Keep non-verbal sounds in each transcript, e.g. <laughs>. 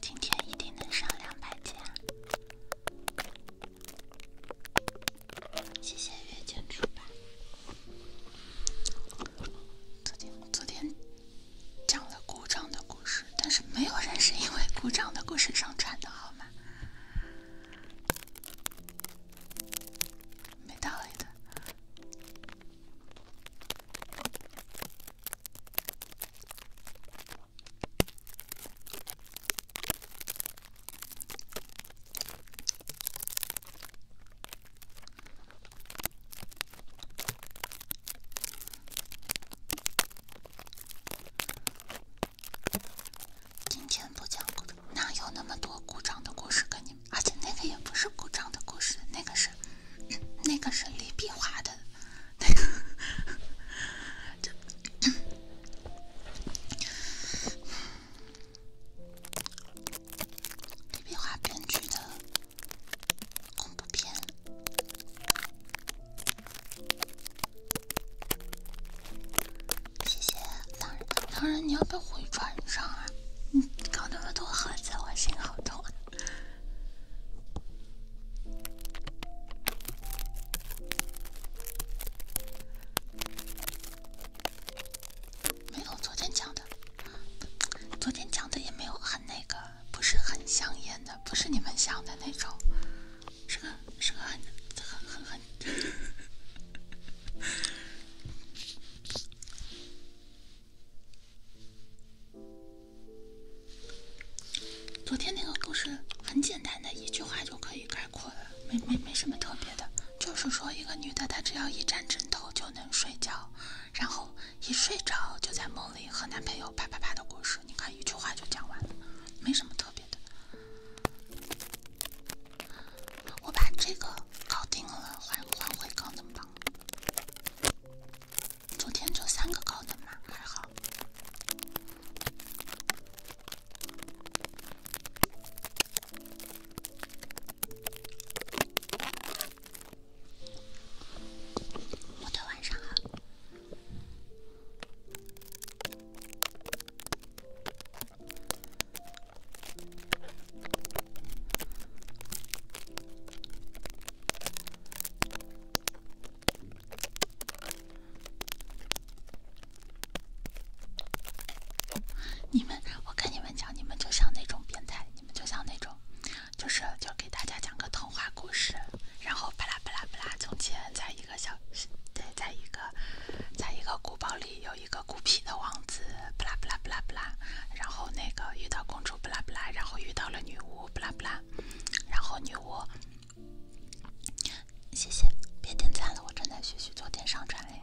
今天一定能上两百级啊！谢谢月见主办。昨天昨天讲了鼓掌的故事，但是没有人是因为鼓掌的故事上船的，好吗？没道理的。今天不讲，哪有那么多故障的故事给你？而且那个也不是古账的故事，那个是，那个是李碧华的，那个，李碧华编剧的恐怖片。谢谢狼人，狼人你要被回传上啊！你搞那么多盒子，我心好痛。没有昨天讲的，昨天讲的也没有很那个，不是很香艳的，不是你们想的那种，是个是个很很很很。<laughs> 昨天那个故事很简单，的一句话就可以概括了，没没没什么特别的，就是说一个女的，她只要一沾枕头就能睡觉，然后一睡着就在梦里和男朋友啪啪啪的故事，你看一句话就讲完了，没什么特别的。我把这个搞定了，还会回稿么吧。昨天就三个高的嘛，还好。模特晚上好。你们，我跟你们讲，你们就像那种变态，你们就像那种，就是就给大家讲个童话故事，然后巴拉巴拉巴拉，从前在一个小，在一个，在一个古堡里有一个。孤僻的王子，布拉布拉布拉布拉，然后那个遇到公主布拉布拉，然后遇到了女巫布拉布拉，然后女巫，谢谢，别点赞了，我正在学习做电商传的呀。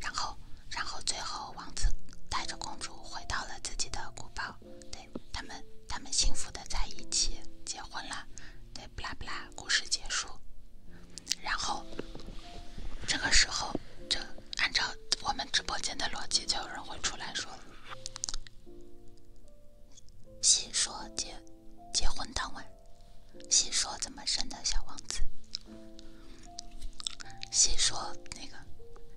然后，然后最后王子带着公主回到了自己的古堡，对，他们他们幸福的在一起结婚了，对布拉布拉，故事结束。然后，这个时候这。按照我们直播间的逻辑，就有人会出来说：“细说结结婚当晚，细说怎么生的小王子，细说那个，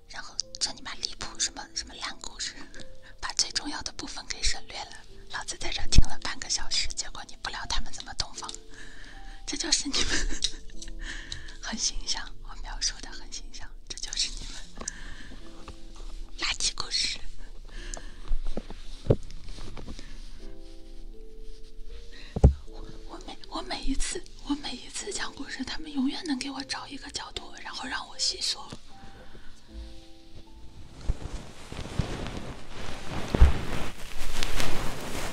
然后这你妈离谱，什么什么烂故事，把最重要的部分给省略了。老子在这听了半个小时，结果你不聊他们怎么洞房，这就是你们。”很形象，我描述的很形象，这就是你们垃圾故事。我每我每一次我每一次讲故事，他们永远能给我找一个角度，然后让我细说。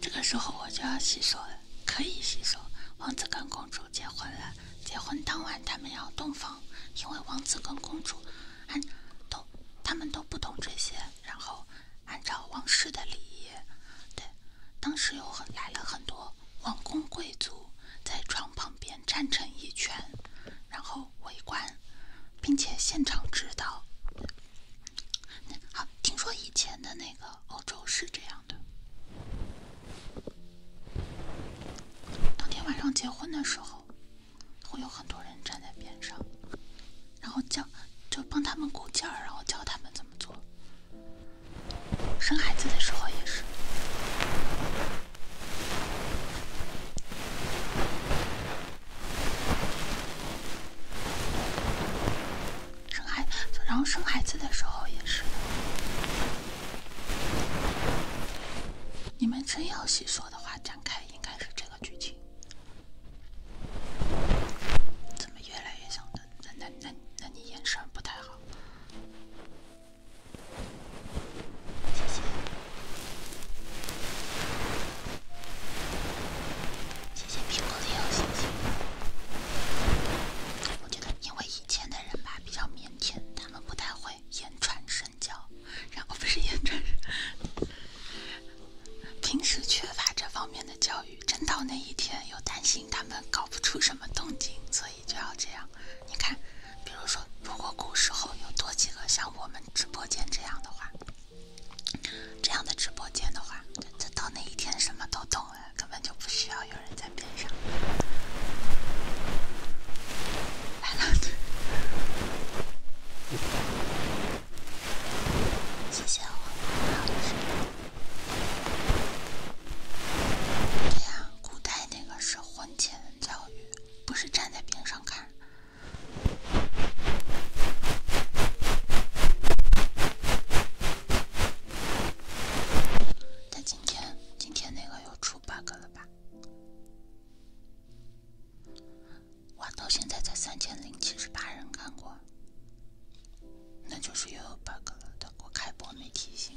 这个时候我就要洗手了，可以洗手。王子跟公主结婚了，结婚当晚他们要洞房，因为王子跟公主按都他们都不懂这些，然后按照王室的礼仪，对，当时又来了很多王公贵族在床旁边站成一圈。然后围观，并且现场指导。好，听说以前的那个欧洲是这样的：当天晚上结婚的时候，会有很多人站在边上，然后教就帮他们鼓劲儿，然后教他们怎么做。生孩子的时候也是。生孩，然后生孩子的时候也是。你们真要细说的话，展开应该是这个剧情。怎么越来越像？那那那那，你眼神不太好。谢谢，谢谢苹果的邀请。我觉得，因为以前的人吧比较腼腆，他们不太会言传身教，然后不是言传，平时缺乏这方面的教育，真到那一天又担心他们搞不出什么动静，所以就要这样。你看，比如说，如果古时候有多几个像我们。直播间这样的话，这样的直播间的话，这到那一天什么都懂了，根本就不需要有人在边上。来了，谢谢我。的这样，古代那个是婚前教育，不是站在边上看。他今天今天那个又出 bug 了吧？哇，到现在才三千零七人看过，那就是又有 bug 了。他我开播没提醒。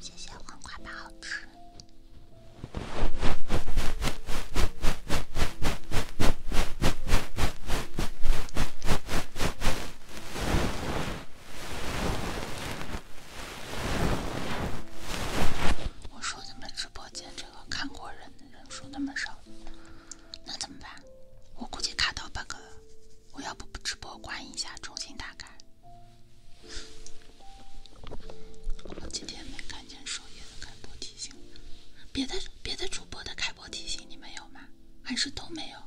谢谢黄瓜不好吃。我说们直播间这个看过人。人数那么少，那怎么办？我估计卡到 bug 了，我要不直播关一下，重新打开。好几天没看见首页的开播提醒，别的别的主播的开播提醒你们有吗？还是都没有？<laughs>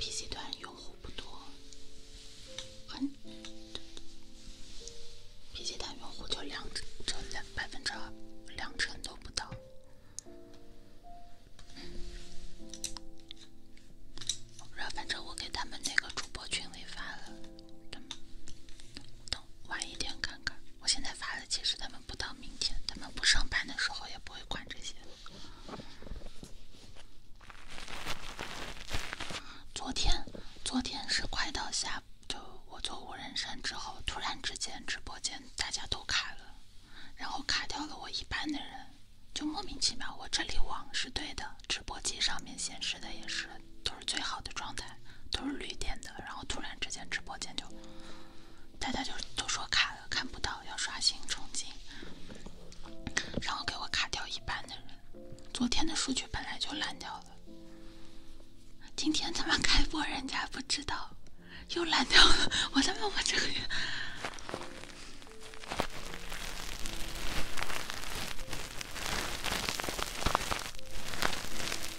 PC 端用户不多，PC 端用户就两成，两百分之二，两成都不到。我不知道，反正我给他们那个主播群里发了。等晚一点看看，我现在发的其实他们不到明天，他们不上班的时候也不会管这些。昨天，昨天是快到下，就我做无人山之后，突然之间直播间大家都卡了，然后卡掉了我一半的人，就莫名其妙。我这里网是对的，直播机上面显示的也是都是最好的状态。都是绿点的，然后突然之间直播间就，大家就都说卡了，看不到，要刷新重进，然后给我卡掉一半的人。昨天的数据本来就烂掉了，今天他妈开播人家不知道，又烂掉了。我他妈我这个。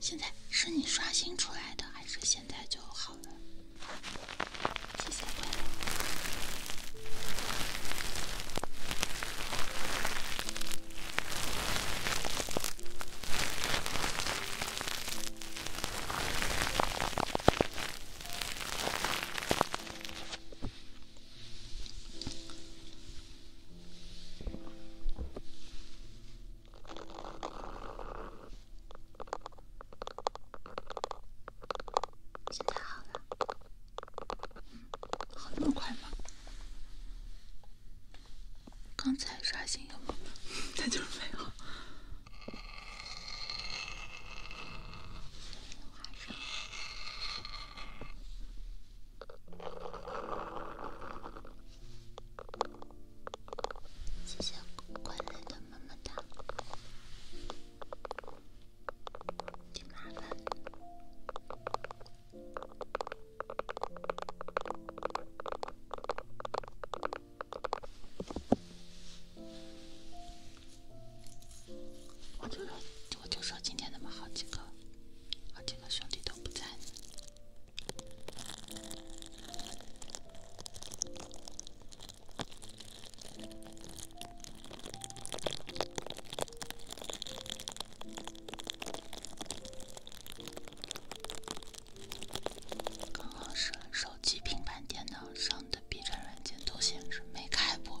现在是你刷新出来的，还是现在就好了？谢谢。现在好了，好那么快吗？刚才刷新没了，它 <laughs> 就是没有。谢谢快乐的么么哒，么么哒。我就说，我就说今天那么好几个。好几个兄弟都不在，刚好是手机、平板、电脑上的 B 站软件都显示没开播。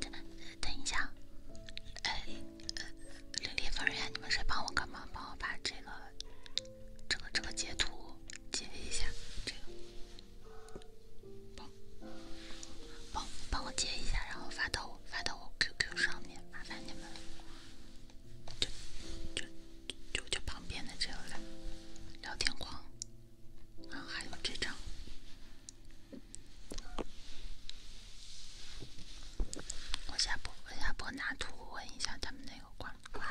等等一下，哎，林林方圆，你们谁帮我个忙？帮我把这个、这个、这个截图截一下，这个。帮帮我接一下，然后发到我发到我 QQ 上面，麻烦你们就就就就旁边的这个聊天框，然后还有这张。我下播，我下播拿图问一下他们那个不官。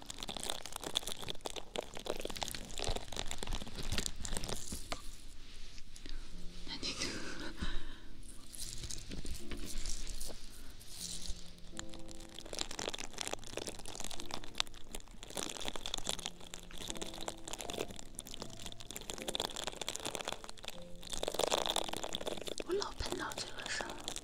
<laughs> 我老碰到这个事儿。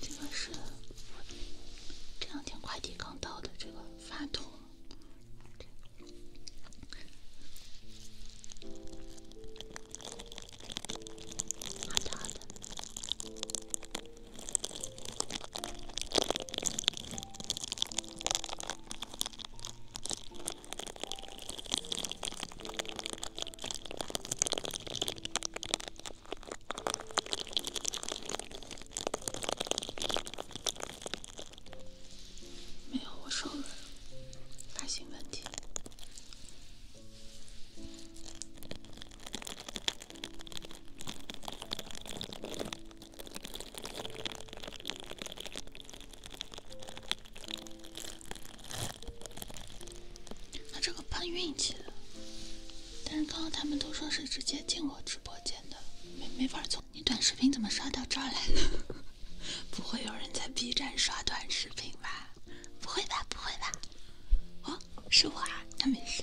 这个是这两天快递刚到的，这个发图，好大的。没有，我收了，发行问题。那这个碰运气的，但是刚刚他们都说是直接进我直播间的，没没法从你短视频怎么刷到这儿来了？<laughs> 不会有人在 B 站刷短视频吧？不会吧，不会吧？哦，是我啊，那没事。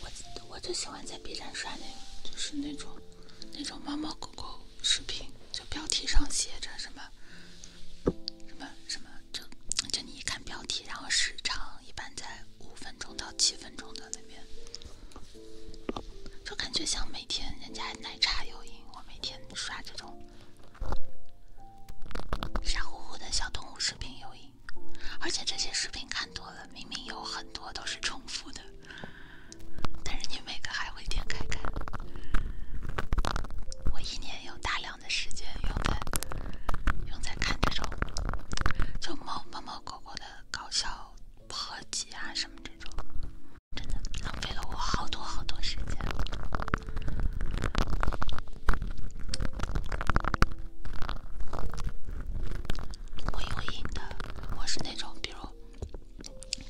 我我就喜欢在 B 站刷那个，就是那种那种猫猫狗狗视频，就标题上写着什么什么什么，就就你一看标题，然后时长一般在五分钟到七分钟的那边，就感觉像每天人家奶茶有瘾，我每天刷这种傻乎乎的小动物视频有瘾。而且这些视频看多了，明明有很多都是重复的，但是你每个还会点开看。我一年有大量的时间用在用在看这种就猫猫猫狗狗的搞笑合集啊什么这种，真的浪费了我好多好多时间。我有瘾的，我是那种，比如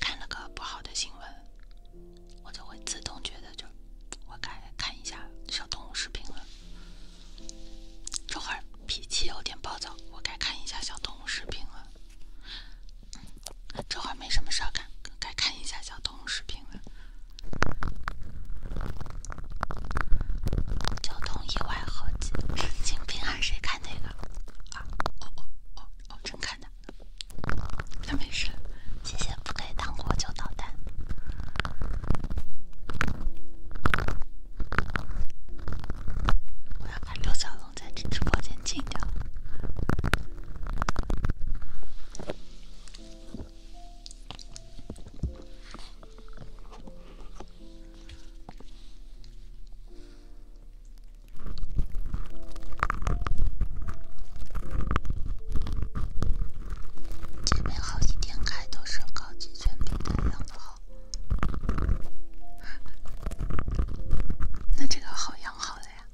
看了个不好的新闻，我就会自动觉得，就我该看一下小动物视频了。这会儿脾气有点暴躁，我该看一下小动物视频了。这会儿没什么事儿干，该看一下小动物视频了。交通意外合集，神经病啊！谁看那个？啊，哦哦哦哦，真看的，那没事。谢谢不给糖果就捣蛋。我要把刘小龙在这直播间禁掉。前面好几天开都是高级犬皮太阳的好，那这个好养好了呀？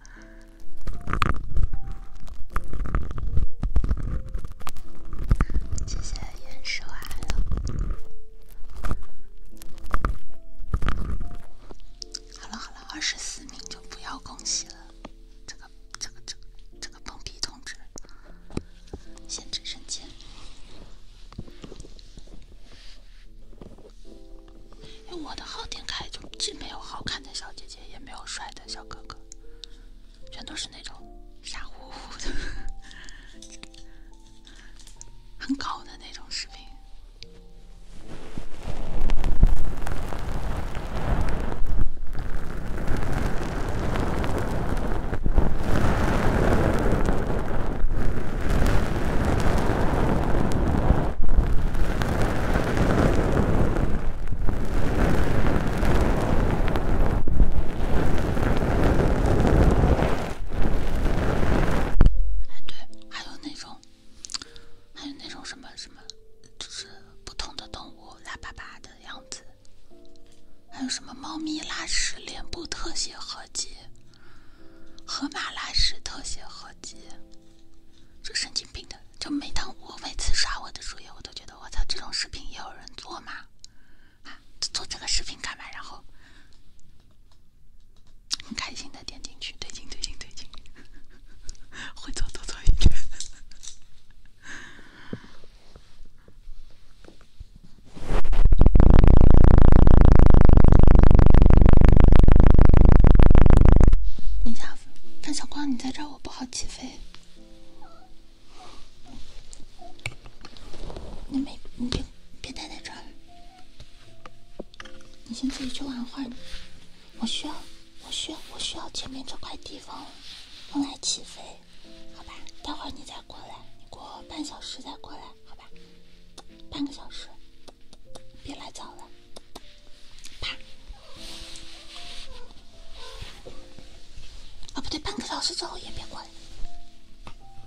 谢谢烟蛇来了。好了好了，二十四名就不要恭喜了，这个这个这个这个碰壁通知，先知人间。哎，我的号点开就既没有好看的小姐姐，也没有帅的小哥哥，全都是那种傻乎乎的。很高的那种视频。哎，对，还有那种，还有那种什么什么，就是不同的动物拉粑粑的样子，还有什么猫咪拉屎脸部特写合集，河马拉屎特写合集，这神经病的，就每当我每次刷我的主页，我都觉得我操，这种视频也有人做吗？啊，做这个视频干嘛？然后很开心的点进去，推进推进推进，<laughs> 会做多做一点。等一下，范小光，你在这儿，我不好起飞。你没，你别。别待在这儿，你先自己去玩会儿。我需要，我需要，我需要前面这块地方用来起飞，好吧？待会儿你再过来，你过半小时再过来，好吧？半个小时，别来早了，啪！啊，不对，半个小时之后也别过来。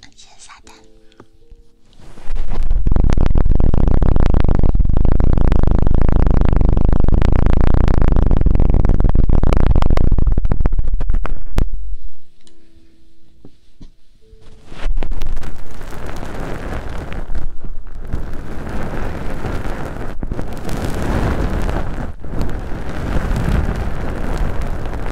先下单。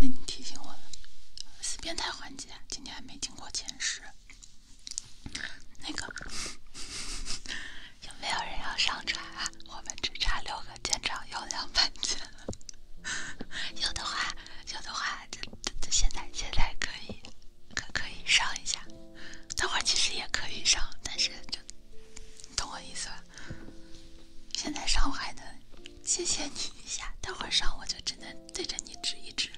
你提醒我了，是变态环节，今天没进过前十。那个，<laughs> 有没有人要上传啊？我们只差六个舰长，有两万赞。<laughs> 有的话，有的话，这这现在现在可以，可可以上一下。等会儿其实也可以上，但是就，你懂我意思吧？现在上我还能谢谢你一下，待会儿上我就只能对着你指一指，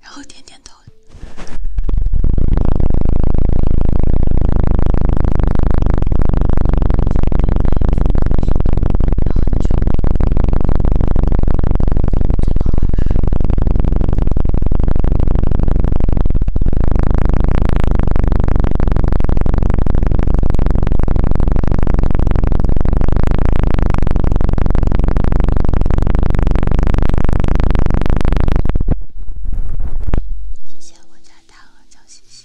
然后点点头。谢谢我家大鹅叫西西。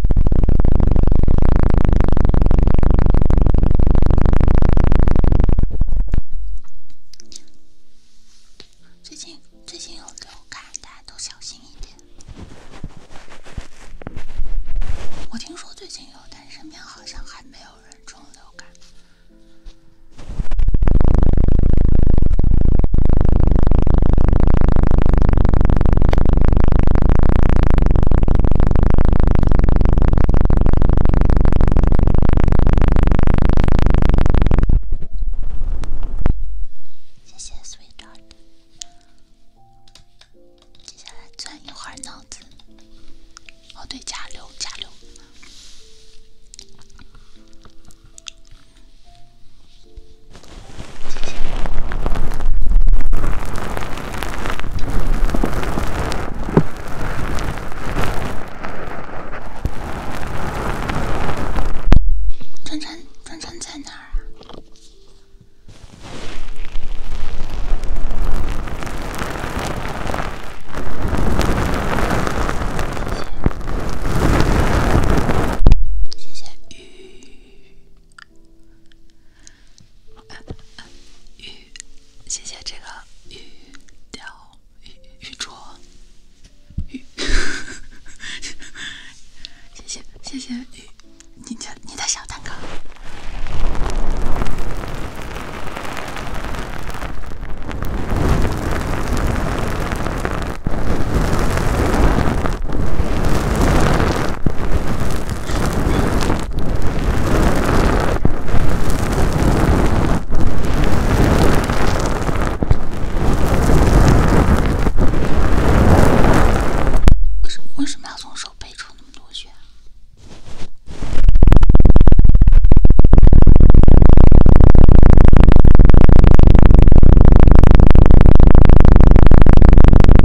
最近最近有流感，大家都小心一点。我听说最近有，但身边好像还没有人中流感。谢谢，sweetheart。接下来转一会儿脑子。哦，对，加油，加油。谢谢。川川，川川在哪儿啊？谢谢，谢谢雨。谢谢这个玉雕、玉玉镯、谢谢谢谢你的你的小蛋糕。可是为什么要从手背抽那么多血？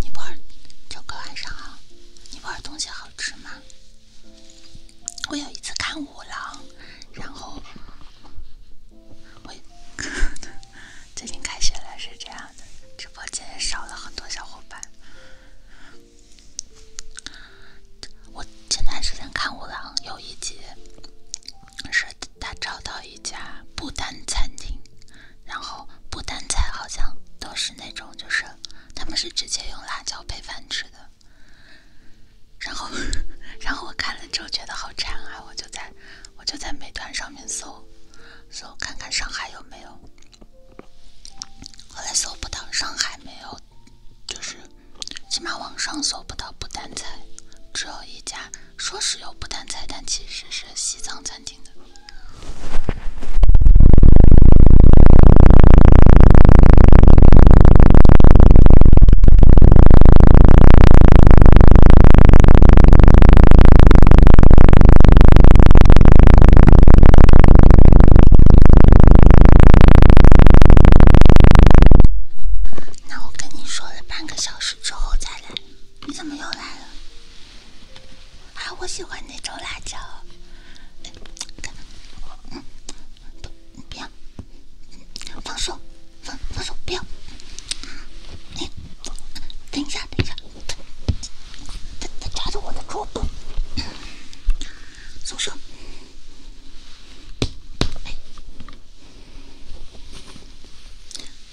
尼泊尔，周哥晚上好。尼泊尔东西好吃吗？我有一次看五郎，然后我 <laughs> 最近开学了，是这样的，直播间少了很多小伙伴。我前段时间看五郎有一集，是他找到一家不丹餐厅，然后不丹菜好像都是那种，就是他们是直接用辣椒配饭吃的。然后，<laughs> 然后我看了之后觉得好馋啊，我就在我就在美团上面搜搜看看上海有没有，后来搜不到，上海没有。就是，起码网上搜不到不丹菜，只有一家说是有不丹菜，但其实是西藏餐厅的。那我跟你说了半个小时之后再来，你怎么又来了？啊，我喜欢那种辣椒？嗯，不，要，放手，放，放手，不要。哎，等一下，等一下，他他抓住我的桌布，松手。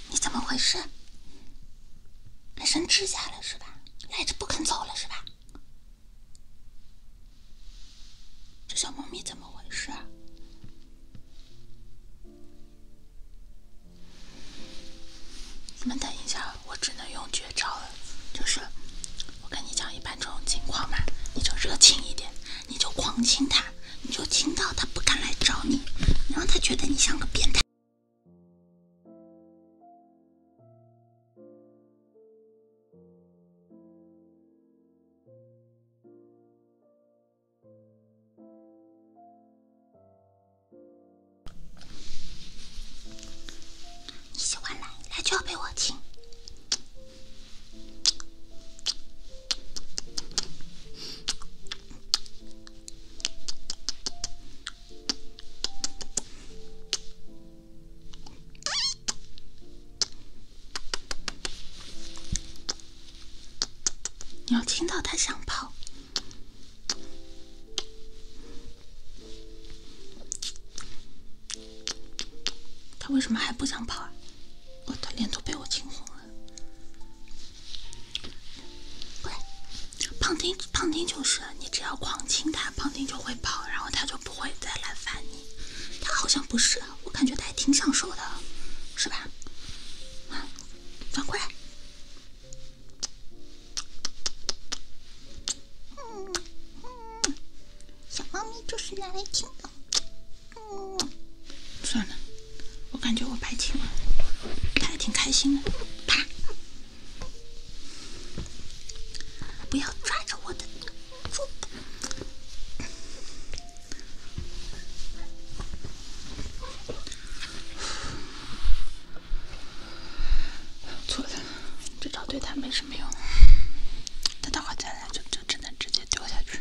你怎么回事？还伸指甲了是吧？赖着不肯走了是吧？这小猫咪怎么回事？你们等一下，我只能用绝招了，就是我跟你讲，一般这种情况嘛，你就热情一点。你就狂亲他，你就亲到他不敢来找你，你让他觉得你像个变态。你喜欢来，来就要被我亲。你要听到他想跑。他为什么还不想跑啊？我他脸都被我惊红了。过胖丁，胖丁就是你，只要狂亲他，胖丁就会跑，然后他就不会再来烦你。他好像不是，我感觉他还挺享受的，是吧？啊，转过来。小猫咪就是拿来听的，嗯，算了，我感觉我白听了，它还挺开心的，啪！不要抓着我的肚错的，这招对它没什么用，那待会再来就就只能直接。掉下去，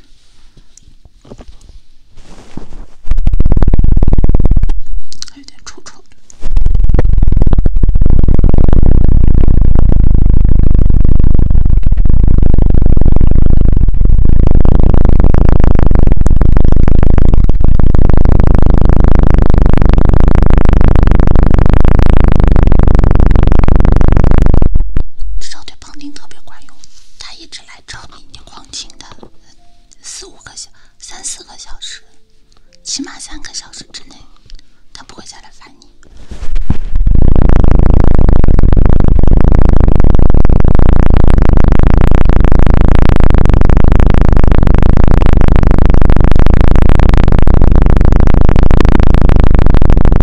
还有点臭臭的，少点。矿丁特别管用，他一直来找你，你狂听他四五个小三四个小时，起码三个小时之内，他不会再来烦你。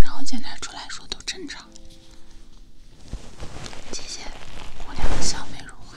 然后检查出来说都正常，谢谢姑娘，的笑美如花。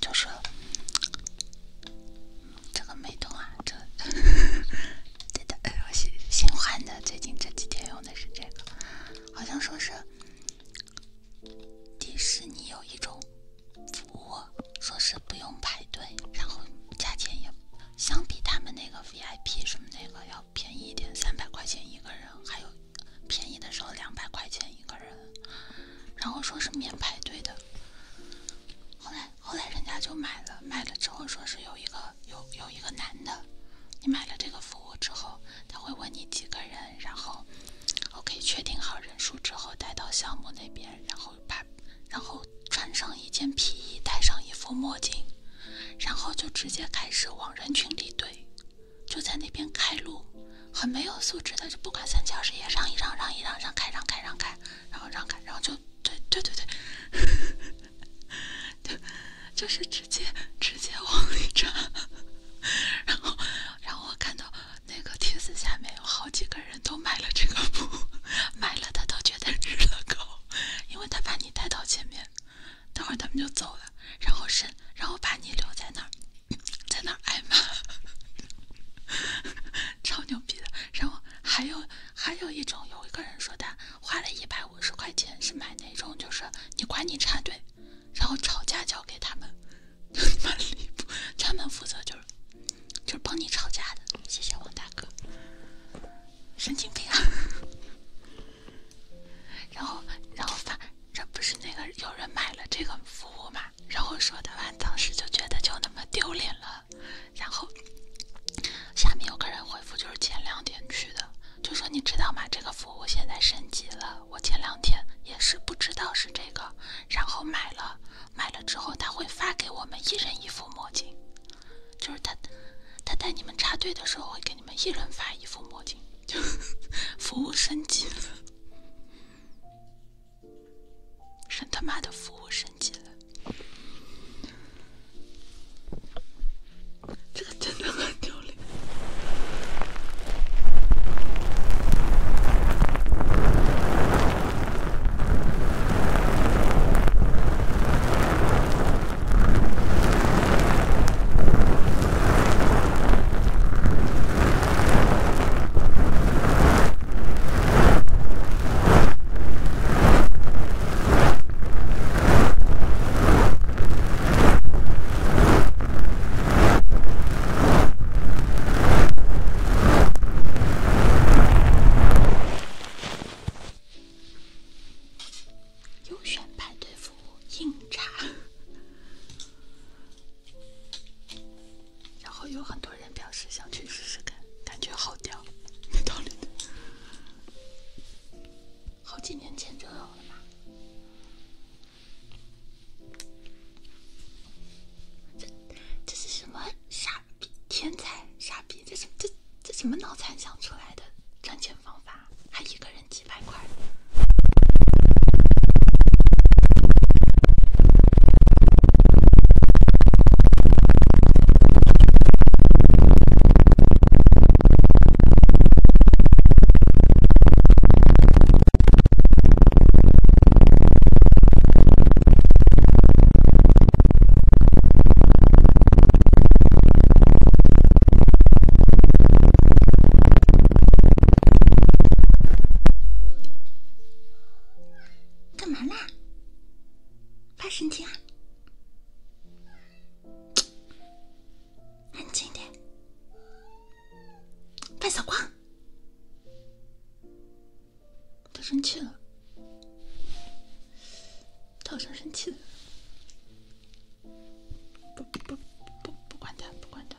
就是这个美瞳啊，这这，的，我新新换的，最近这几天用的是这个，好像说是迪士尼有一种服务，说是不用排队，然后价钱也相比他们那个 VIP 什么那个要便宜一点，三百块钱一个人，还有便宜的时候两百块钱一个人，然后说是免排队的。后来，后来人家就买了，买了之后说是有一个有有一个男的，你买了这个服务之后，他会问你几个人，然后，OK 确定好人数之后带到项目那边，然后把然后穿上一件皮衣，戴上一副墨镜，然后就直接开始往人群里怼，就在那边开路，很没有素质的，就不管三七二十一，让一让，让一让，让开，让开，让开。然后让开，然后就对对对对，<laughs> 就就是直接直接往里扎，然后然后我看到那个帖子下面有好几个人都买了这个布，买了他都觉得日了狗，因为他把你带到前面，等会儿他们就走了，然后是然后把你留在那儿，在那儿挨骂。超牛逼的，然后还有还有一种，有一个人说他花了一百五十块钱是买那种，就是你管你插队，然后吵架交给他们，你 <laughs> 离谱，专门负责就是就是帮你吵架的，谢谢王大哥，神经病啊！然后然后发，这不是那个有人买了这个服务嘛？然后说的完当时就觉得就那么丢脸了。然后下面有个人回复，就是前两天去的，就说你知道吗？这个服务现在升级了。我前两天也是不知道是这个，然后买了，买了之后他会发给我们一人一副墨镜，就是他他带你们插队的时候会给你们一人发一副墨镜，就 <laughs> 服务升级了。神他妈的服务升级了，这个真的很丢脸。优选派对服务，硬茬。然后有很多人表示想去试试看，感觉好屌，没道理的。好几年前就有了吧？这这是什么傻逼天才？傻逼，这是这这什么脑残想出来的赚钱方法？还一个人几百块？干嘛呢？发神经啊！安静一点。范小光，他生气了。他好像生气了。不不不，不管他，不管他。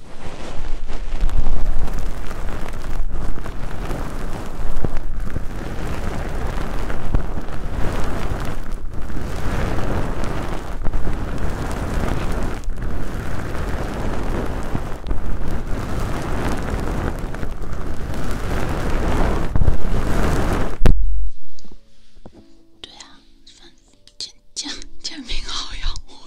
对啊，煎煎煎饼好养活。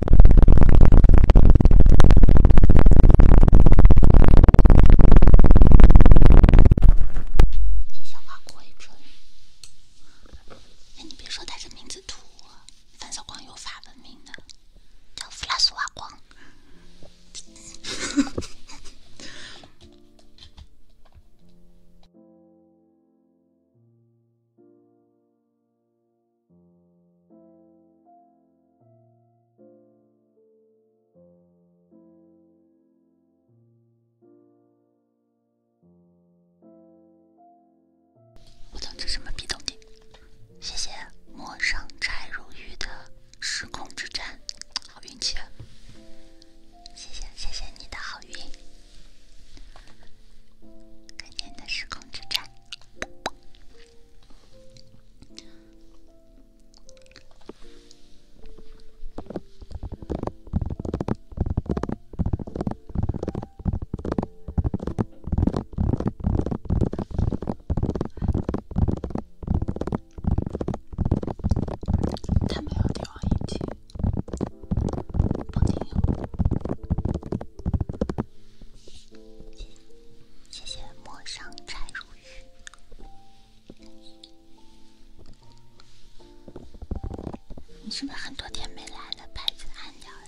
弗拉索娃光也你别说，他这名字土，反小光有法文明的叫弗拉斯瓦光。我懂这么逼东西？谢谢陌上柴如玉的时空之战，好运气！谢谢谢谢你的好运，感谢你的时空之战。看不到帝王印迹，不听。谢谢，谢陌上柴如玉。你是不是很多天没来了？牌子按掉了。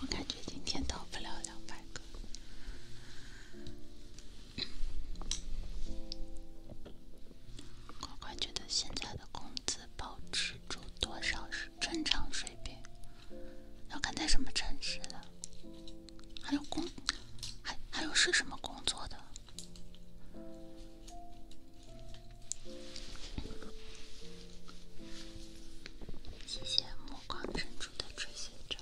我感觉今天到不了两百个。乖乖觉得现在的工资保持住多少是正常水平？要看在什么城市的，还有工，还还有是什么工作的？谢谢目光深处的追寻者。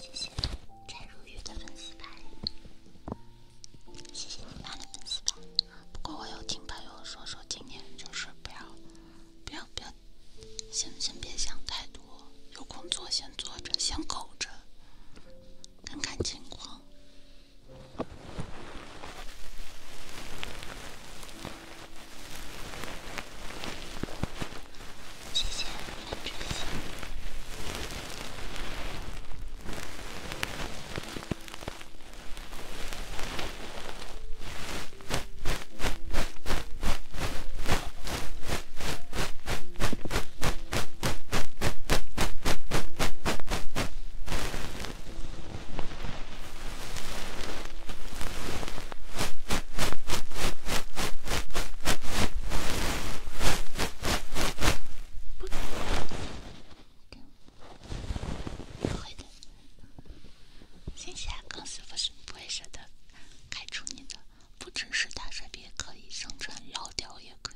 谢如玉的粉丝牌，谢谢你发的粉丝牌。不过我有听朋友说说，今年就是不要，不要，不要，先先别想太多，有工作先做着，先苟着。看看情况。谢谢，真不谢谢公司不是不会舍得开除你的，不只是大帅别可以，生传老调也可。以。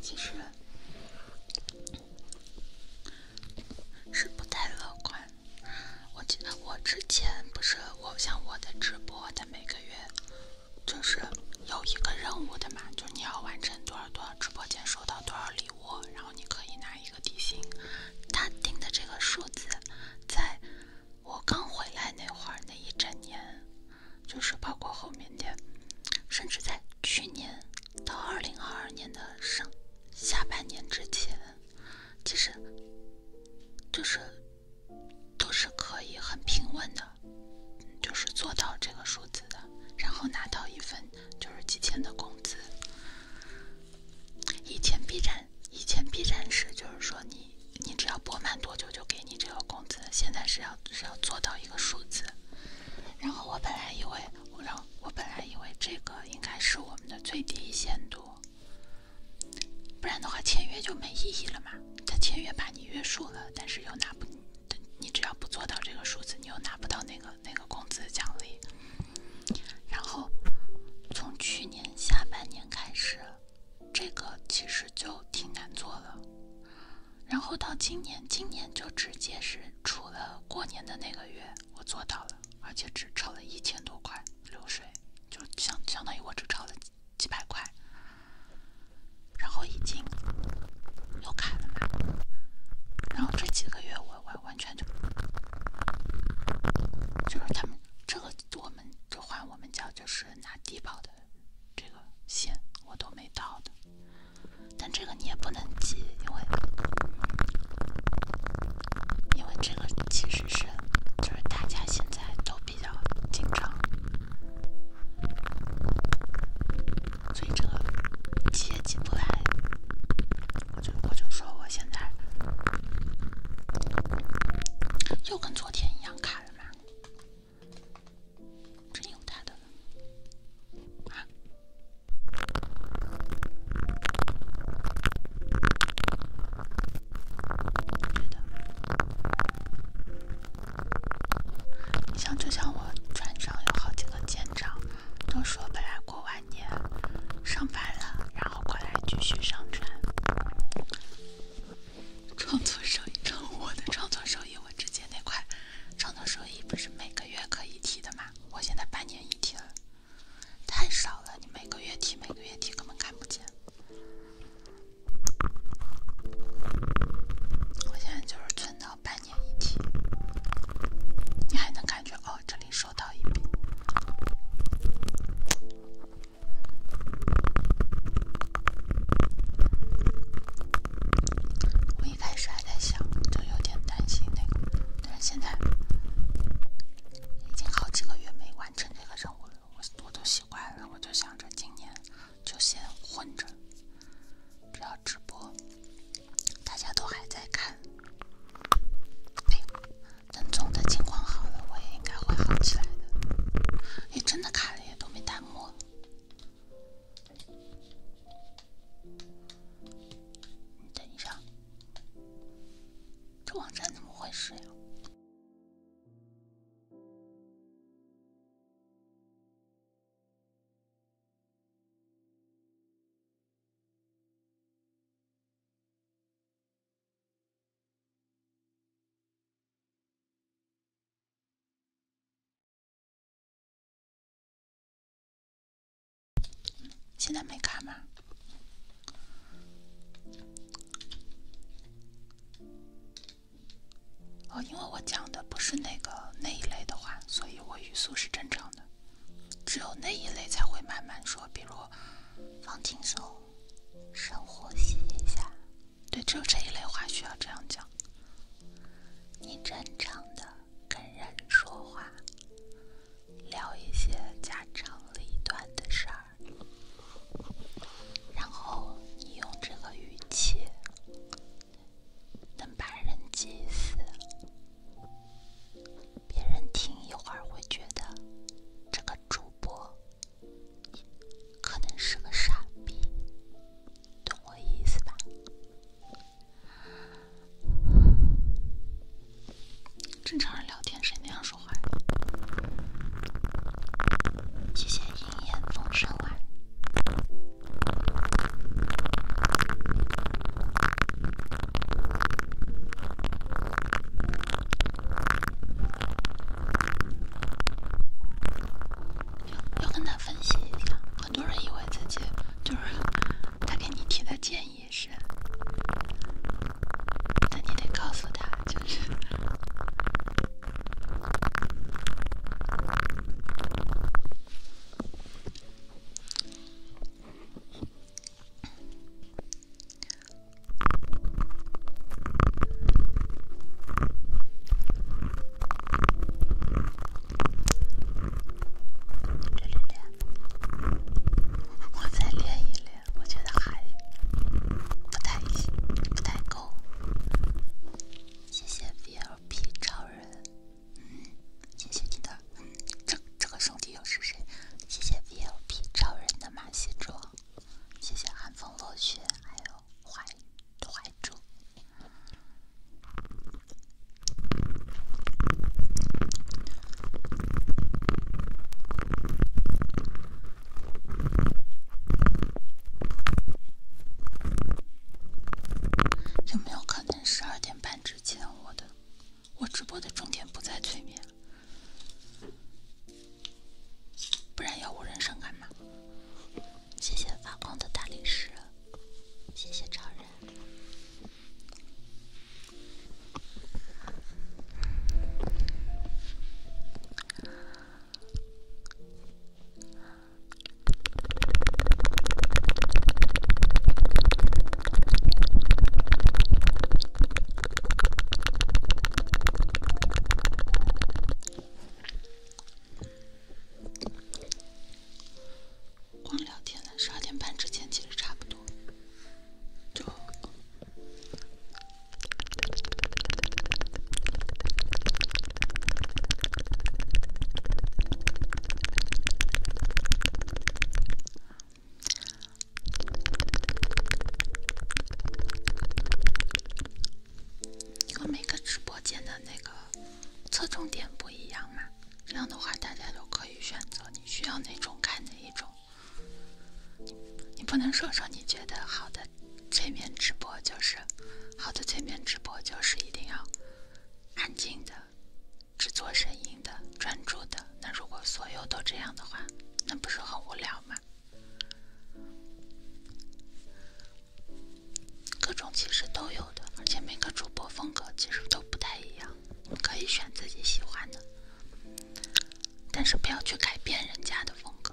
其实是不太乐观。我记得我之前不是，我像我的直播的每个月，就是有一个任务的嘛，就是你要完成多少多少直播间收到多少礼物，然后你可以拿一个底薪。他定的这个数字在。我刚回来那会儿那一整年，就是包括后面的，甚至在去年到二零二二年的上下半年之前，其实，就是都是可以很平稳的，就是做到这个数字的，然后拿到一份就是几千的工资。以前 B 站，以前 B 站是就是说你你只要播满多久就给你这个工资，现在是要是要做到一个数字。然后我本来以为，我我本来以为这个应该是我们的最低限度，不然的话签约就没意义了嘛。他签约把你约束了，但是又拿不，你只要不做到这个数字，你又拿不到那个那个工资奖励。然后从去年下半年开始。这个其实就挺难做了，然后到今年，今年就直接是除了过年的那个月，我做到了，而且只超了一千多块流水，就相相当于我只超了几几百块，然后已经又开了嘛，然后这几个月我完完全就就是他们这个。我们就换，我们叫就是拿低保的这个线，我都没到的。但这个你也不能急，因为因为这个其实是就是大家现在都比较紧张，所以这个急也急不来。我就我就说我现在。又跟昨天一样卡了吗？真有他的。啊。对的。像就像我船上有好几个舰长，都说本来过完年上班了，然后。然后过来继续上传。创作收益，我的创作收益，我之前那块创作收益不是每个月可以提的吗？我现在半年一提了，太少了。你每个月提，每个月提，根本看不见。我现在就是存到半年一提，你还能感觉哦，这里收到一笔。我一开始还在想，就有点担心那个，但是现在已经好几个月没完成这个任务了，我我都习惯了，我就想着今年就先混着，只要直播，大家都还在看。等总的情况好了，我也应该会好起来的。哎，真的卡了，也都没弹幕。你等一下，这网站怎么回事呀？现在没卡吗？哦，因为我讲的不是那个那一类的话，所以我语速是正常的。只有那一类才会慢慢说，比如放轻松。深呼吸一下，对，只有这一类话需要这样讲。你正常的跟人说话，聊一些家长里短的事儿，然后你用这个语气，能把人急死。别人听一会儿会觉得这个主播。你可能是个傻逼，懂我意思吧？正常人聊天谁那样说话？谢谢银叶风声晚。要跟他分析一下，很多人以为自己就是他给你提的建议是，那你得告诉他，就是。练练练，我再练一练，我觉得还不太不太够。谢谢 VLP 超人，谢谢你的。这这个兄弟又是谁？谢谢 VLP 超人的马戏装。谢谢寒风落雪，还有怀怀珠。有没有可能十二点半之前，我的我直播的重点不在催眠？不然要我人生干嘛？谢谢发光的大理石，谢谢超人。光聊天了，十二点半之前其实差不多。就。因为每个直播间的那个侧重点不一样嘛，这样的话大家都可以选择你需要哪种看哪一种。你不能说说你觉得好的催眠直播就是好的催眠直播就是一定要安静的、只做声音的、专注的。那如果所有都这样的话，那不是很无聊吗？各种其实都有的，而且每个主播风格其实都不太一样，可以选自己喜欢的，但是不要去改变人家的风格。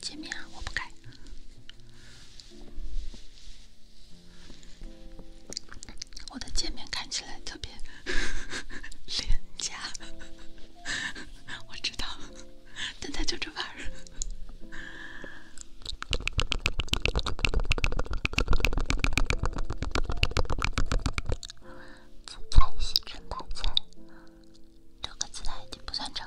见面啊，我不改。我的见面看起来特别 <laughs> 廉价，我知道，但他就这玩意儿。字太细，字太小，六个字的已经不算长。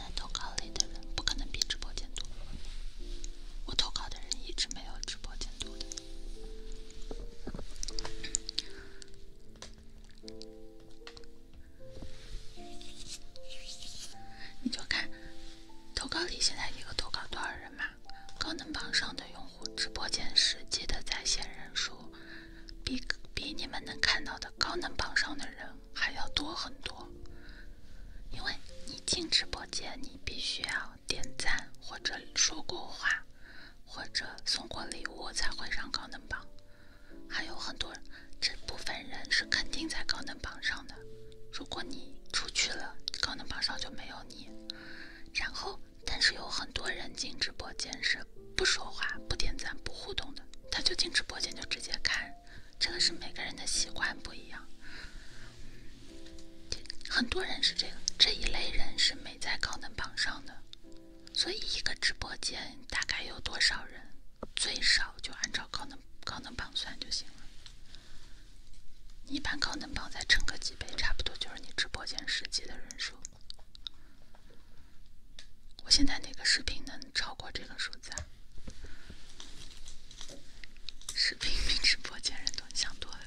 投稿里的人不可能比直播间多，我投稿的人一直没有直播间多你就看投稿里现在一个投稿多少人嘛？高能榜上的用户，直播间实际的在线人数比比你们能看到的高能榜上的人。还要多很多，因为你进直播间，你必须要点赞或者说过话，或者送过礼物才会上高能榜。还有很多这部分人是肯定在高能榜上的。如果你出去了，高能榜上就没有你。然后，但是有很多人进直播间是不说话、不点赞、不互动的，他就进直播间就直接看。这个是每个人的习惯不一样，很多人是这个这一类人是没在高能榜上的，所以一个直播间大概有多少人，最少就按照高能高能榜算就行了。一般高能榜再乘个几倍，差不多就是你直播间实际的人数。我现在哪个视频能超过这个数字？啊？视频比直播间人多，想多了。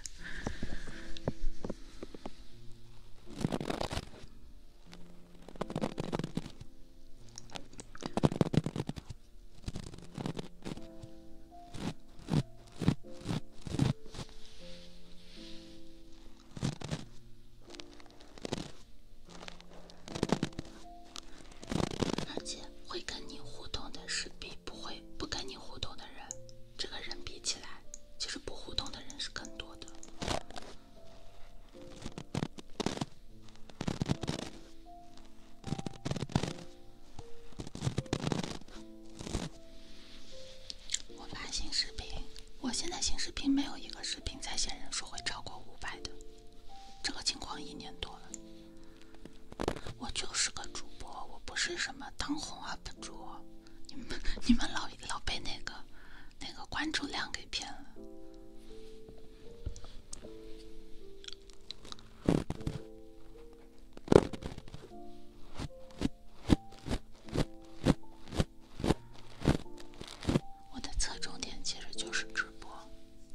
而且会跟你互动的是比不会不跟你互动的人，这个人比起来，其实不互动的人是更多的。我发新视频，我现在新视频没有一个视频在线人数会超过五百的，这个情况一年多了。我就是个主播，我不是什么当红 UP 主。你们你们老老被那个那个关注量给骗了。我的侧重点其实就是直播。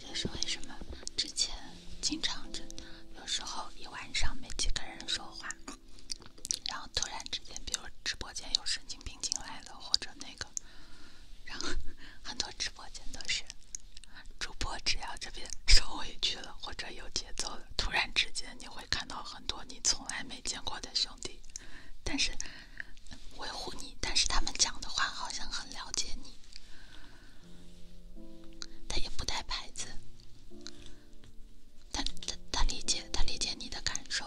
就是为什么之前经常这，有时候一晚上没几个人说话，然后突然之间，比如直播间有神经病进来了，或者那个，然后 <laughs> 很多直播间都是主播只要这边受委屈了，或者有节奏了，突然之间你会看到很多你从来没见过的兄弟，但是维护你，但是他们讲的话好像很了解你，他也不带牌子，他他他理解，他理解你的感受，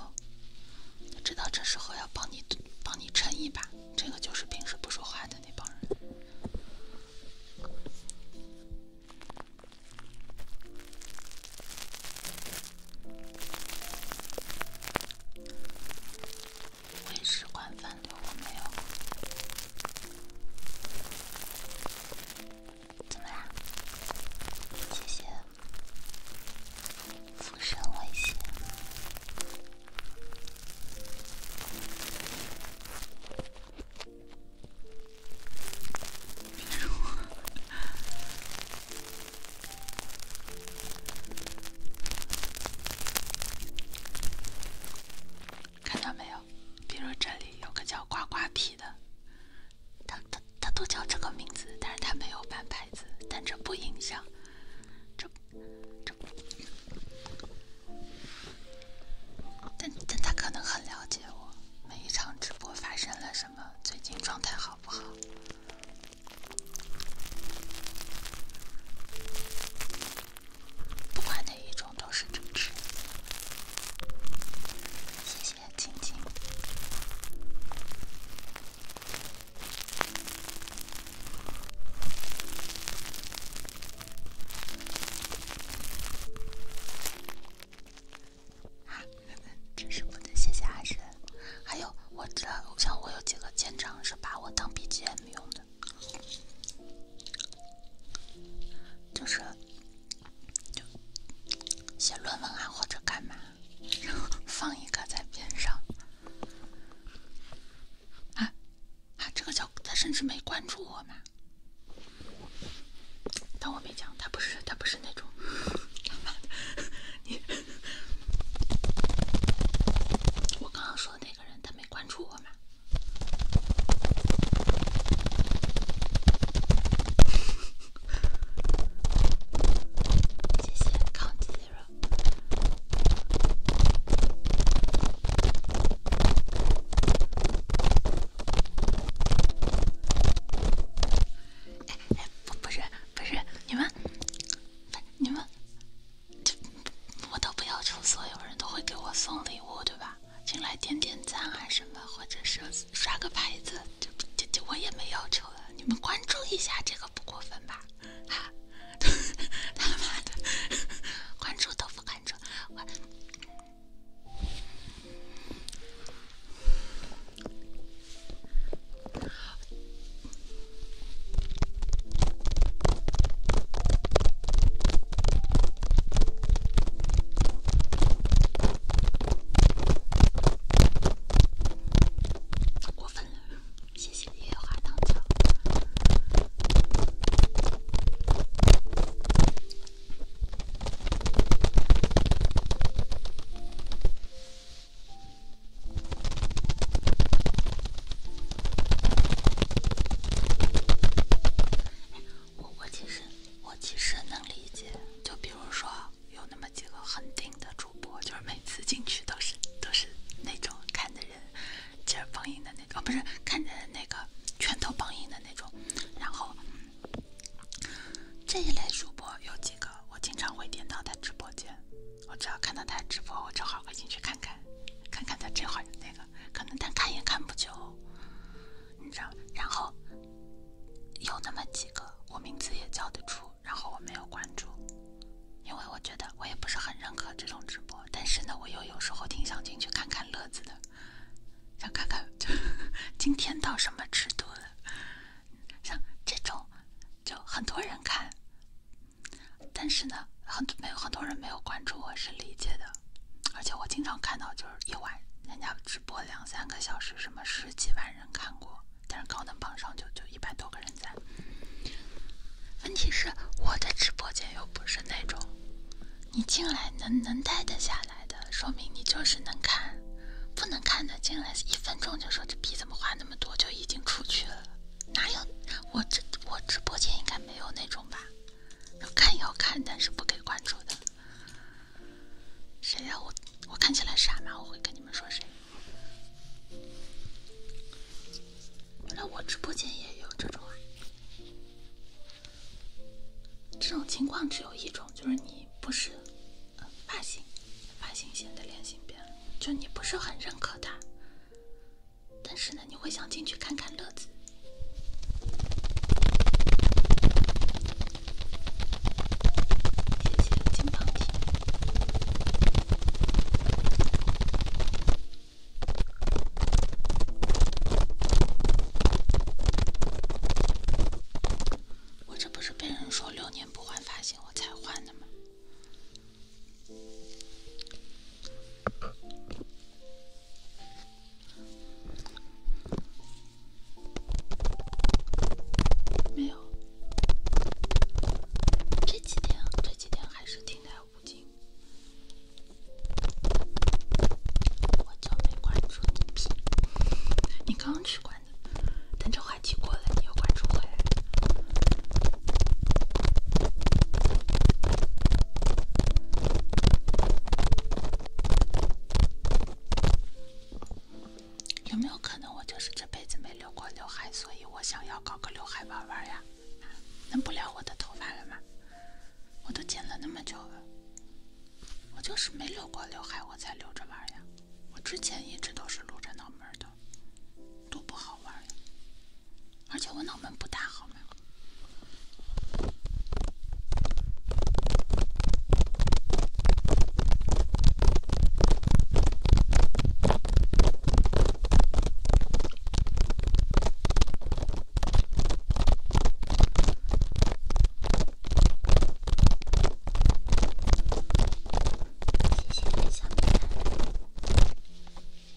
他知道这时候要帮你帮你撑一把，这个就是平时不说话的那帮人。卫视官方对我没有？怎么啦？谢谢，附身威胁。比 <laughs> 看到没有？比如这里有个叫“瓜瓜皮”的，他他他都叫这个名字，但是他没有办牌子，但这不影响。这这但但他可能很了解我，每一场直播发生了什么。最近状态好不好？不管哪一种都是支持，谢谢晶晶。啊，真是不能谢谢阿深。还有，我这像我有几个舰长是把我当 BGM 用的，就是就写论文啊或者干嘛，放一个在边上。啊啊，这个叫他甚至没关注我嘛。但我没讲，他不是，他不是那种。我刚刚说那个人，他没关注我吗？谢谢 c o u n 哎哎，不不是不是，你们，你们，我都不要求所有人都会给我送礼物，对吧？进来点点赞啊什么，或者是刷个牌子，就就就我也没要求了。你们关注一下这个不过分吧？啊，<laughs> 他妈的，<laughs> 关注，都不关注，我。过分了，谢谢月花糖枣。我我其实，我其实能理解。就比如说，有那么几个很顶的主播，就是每次进去都是都是那种看的人劲儿放硬的那种，不是看人那个拳头放硬的那种，然后。这一类主播有几个，我经常会点到他直播间。我只要看到他直播，我正好会进去看看，看看他这会儿那个，可能但看也看不久，你知道然后有那么几个，我名字也叫得出，然后我没有关注，因为我觉得我也不是很认可这种直播。但是呢，我又有时候挺想进去看看乐子的，想看看 <laughs> 今天到什么尺度了。像这种，就很多人看，但是呢，很多没有很多人没有关注我是理解的，而且我经常看到就是一晚人家直播两三个小时，什么十几万人看过，但是高能榜上就就一百多个人在。问题是，我的直播间又不是那种，你进来能能待得下来。来的说明你就是能看，不能看的进来一分钟就说这逼怎么话那么多就已经出去了，哪有我直我直播间应该没有那种吧？要看要看，但是不给关注的。谁让我我看起来傻吗？我会跟你们说谁？原来我直播间也有这种啊！这种情况只有一种，就是你不是。发型，发型显得脸型变了，就你不是很认可他，但是呢，你会想进去看看乐子。谢谢金我这不是被人说六年不换发型我才换的吗？没有，这几天这几天还是停在五斤，我就没关注你。你刚去关？等这话题过了，你有关注回来。有没有可能我就是这辈子没留过刘海，所以我想要搞个刘海玩玩呀？能不撩我的头发了吗？我都剪了那么久了，我就是没留过刘海，我才留着玩呀。我之前一直都是露着脑门儿的，多不好玩呀！而且我脑门不大好吗？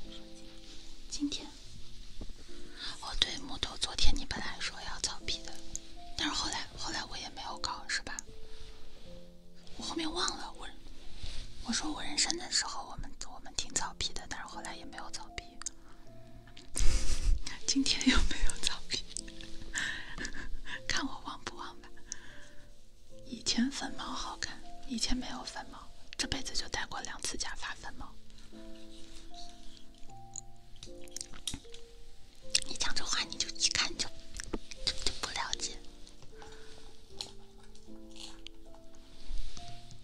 谢谢今天，哦对，木头，昨天你本来说要草皮的，但是后来后来我也没有搞，是吧？我后面忘了我，我说我人生的时候，我们我们挺草皮的，但是后来也没有草皮。今天有没有草皮？<laughs> 看我忘不忘吧。以前粉毛好看，以前没有粉毛，这辈子就戴过两次假发粉毛。你讲这话你就一看就就就不了解，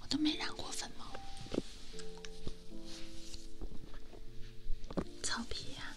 我都没染过粉毛，草皮呀。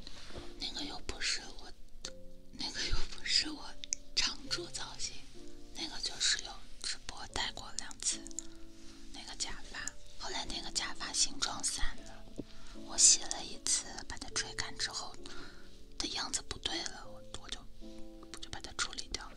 那个又不是我，那个又不是我常驻造型，那个就是有直播戴过两次，那个假发，后来那个假发形状散了，我洗了一次，把它吹干之后，的样子不对了，我就我就把它处理掉了。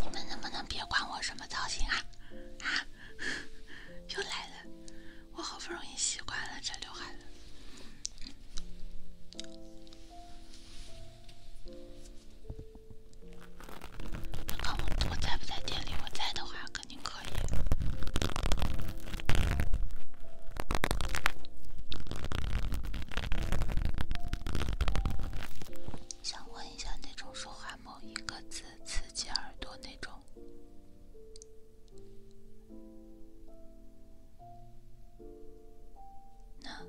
你们能不能别管我什么造型啊？啊！<laughs> 又来了，我好不容易习惯了这刘海了。看我我在不在店里，我在的话肯定可以。想问一下那种说话某一个字刺激耳朵那种。那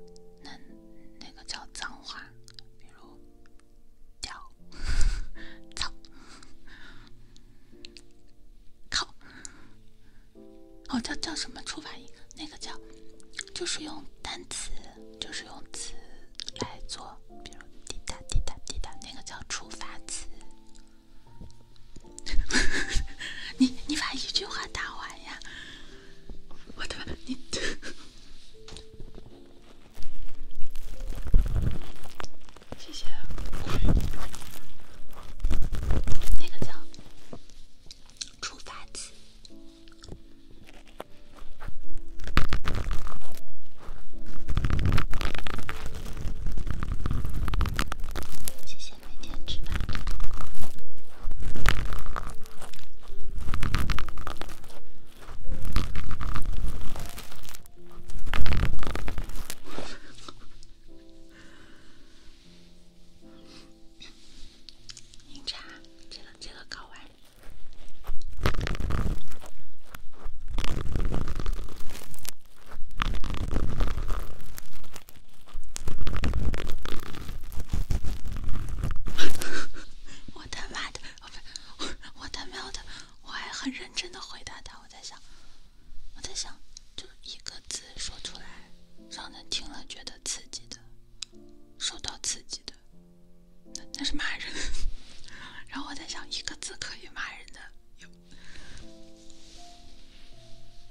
那那个叫脏话，比如屌、操、靠。我叫叫什么触发音？那个叫就是用单词，就是用词来做，比如滴答滴答滴答，那个叫触发词。<laughs> 你你把一句话打完呀！我的你你谢谢，那个叫出发词，谢谢。您查，这个这个搞完。<laughs> 我他妈的，不，我我他喵的，我还很认真的回答他。我在想，我在想，就一个字说出来，让人听了觉得刺激的，受到刺激的，那那是骂人。<laughs> 然后我在想，一个字可以骂人的。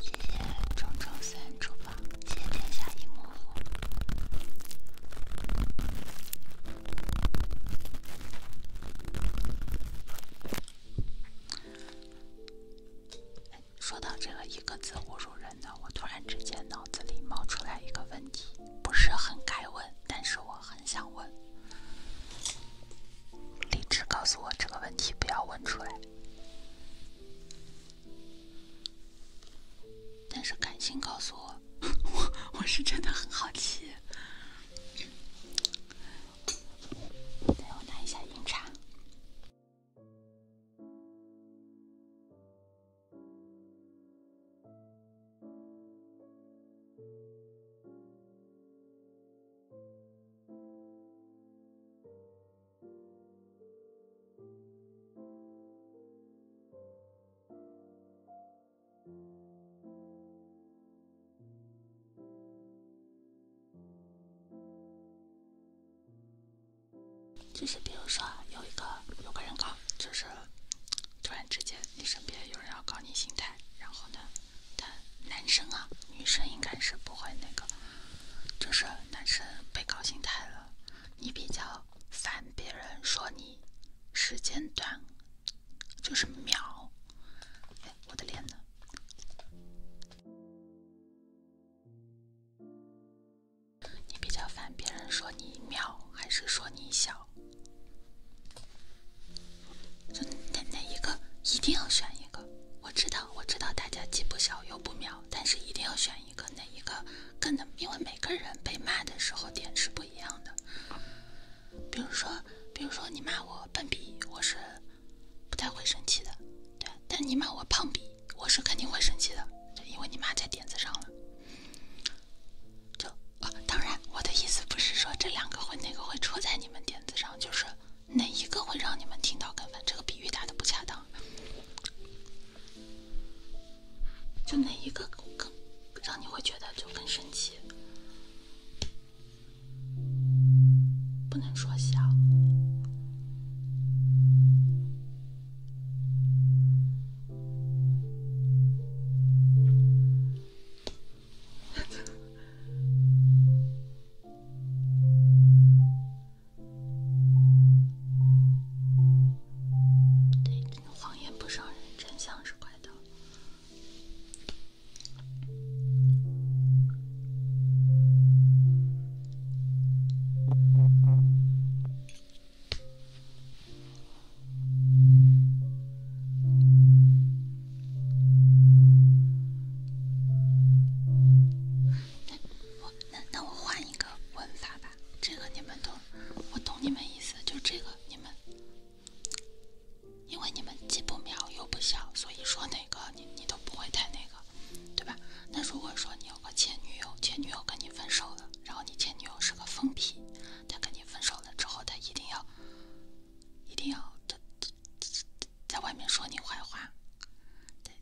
谢谢中周三厨房，谢谢天下一模糊。说到这个一个字侮辱人的，我突然之间脑子里冒出来一个问题。不是很该问，但是我很想问。理智告诉我这个问题不要问出来，但是感性告诉我，我 <laughs> 我是真的很好奇。等我拿一下银茶。就是比如说，有一个有个人，啊，就是。突然之间，你身边有人要搞你心态，然后呢，但男生啊，女生应该是不会那个，就是男生被搞心态了，你比较烦别人说你时间短，就是秒，哎，我的脸呢？你比较烦别人说你秒，还是说你小？就哪哪一个一定要选一个，我知道，我知道大家既不小又不秒，但是一定要选一个，哪一个更能？因为每个人被骂的时候点是不一样的。比如说，比如说你骂我笨逼，我是不太会生气的，对。但你骂我胖逼，我是肯定会生气的，对，因为你骂在点子上了。就啊，当然，我的意思不是说这两个会哪个会戳在你们点子上，就是哪一个会让你们听到更烦。这个比喻打的不恰当，就哪一个更让你会觉得就更生气，不能说笑。<laughs> 对，谎言不伤人，真相是怪盗。那我那那我换一个问法吧，这个你们懂，我懂你们意思，就这个你们，因为你们既不秒又不笑，所以说哪个你你都不会太那个，对吧？那如果说你有个前女友，前女友跟你分手了，然后你前女友是个疯批。他跟你分手了之后，他一定要，一定要，他他他在外面说你坏话。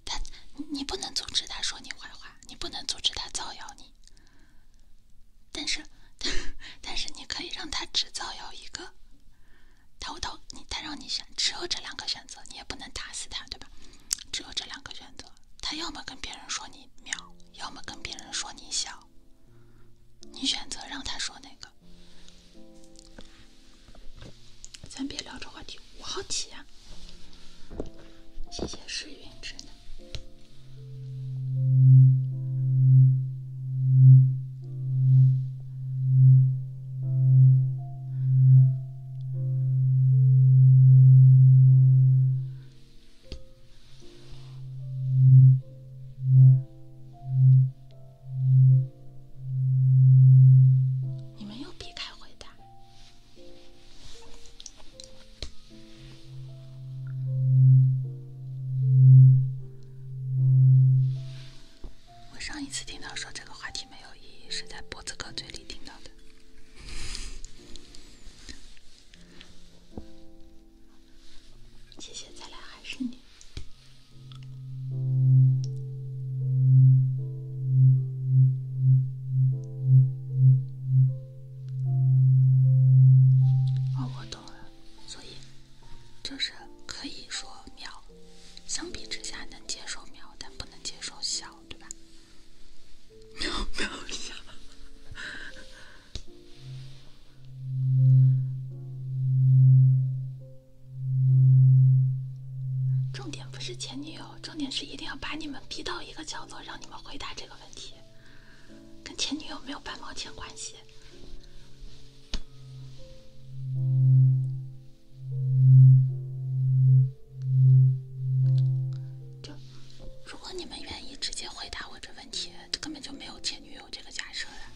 他你你不能阻止他说你坏话，你不能阻止他造谣你。但是，<laughs> 但是你可以让他只造谣一个。偷偷你他让你选，只有这两个选择，你也不能打死他，对吧？只有这两个选择，他要么跟别人说你秒，要么跟别人说你小。你选择让他说那个，咱别聊这话题。我好奇呀，谢谢诗云之暖。你没有避开回答。我上一次听到说这个话题没有意义，是在脖子哥嘴里听到的。谢谢，咱俩还是你。哦，我懂了，所以就是可以说“秒”，相比之下能接受“秒”，但不能接受“小”，对吧？<laughs> 秒秒小。重点不是前女友，重点是一定要把你们逼到一个角落，让你们回答这个问题，跟前女友没有半毛钱关系。就如果你们愿意直接回答我这问题，根本就没有前女友这个假设呀。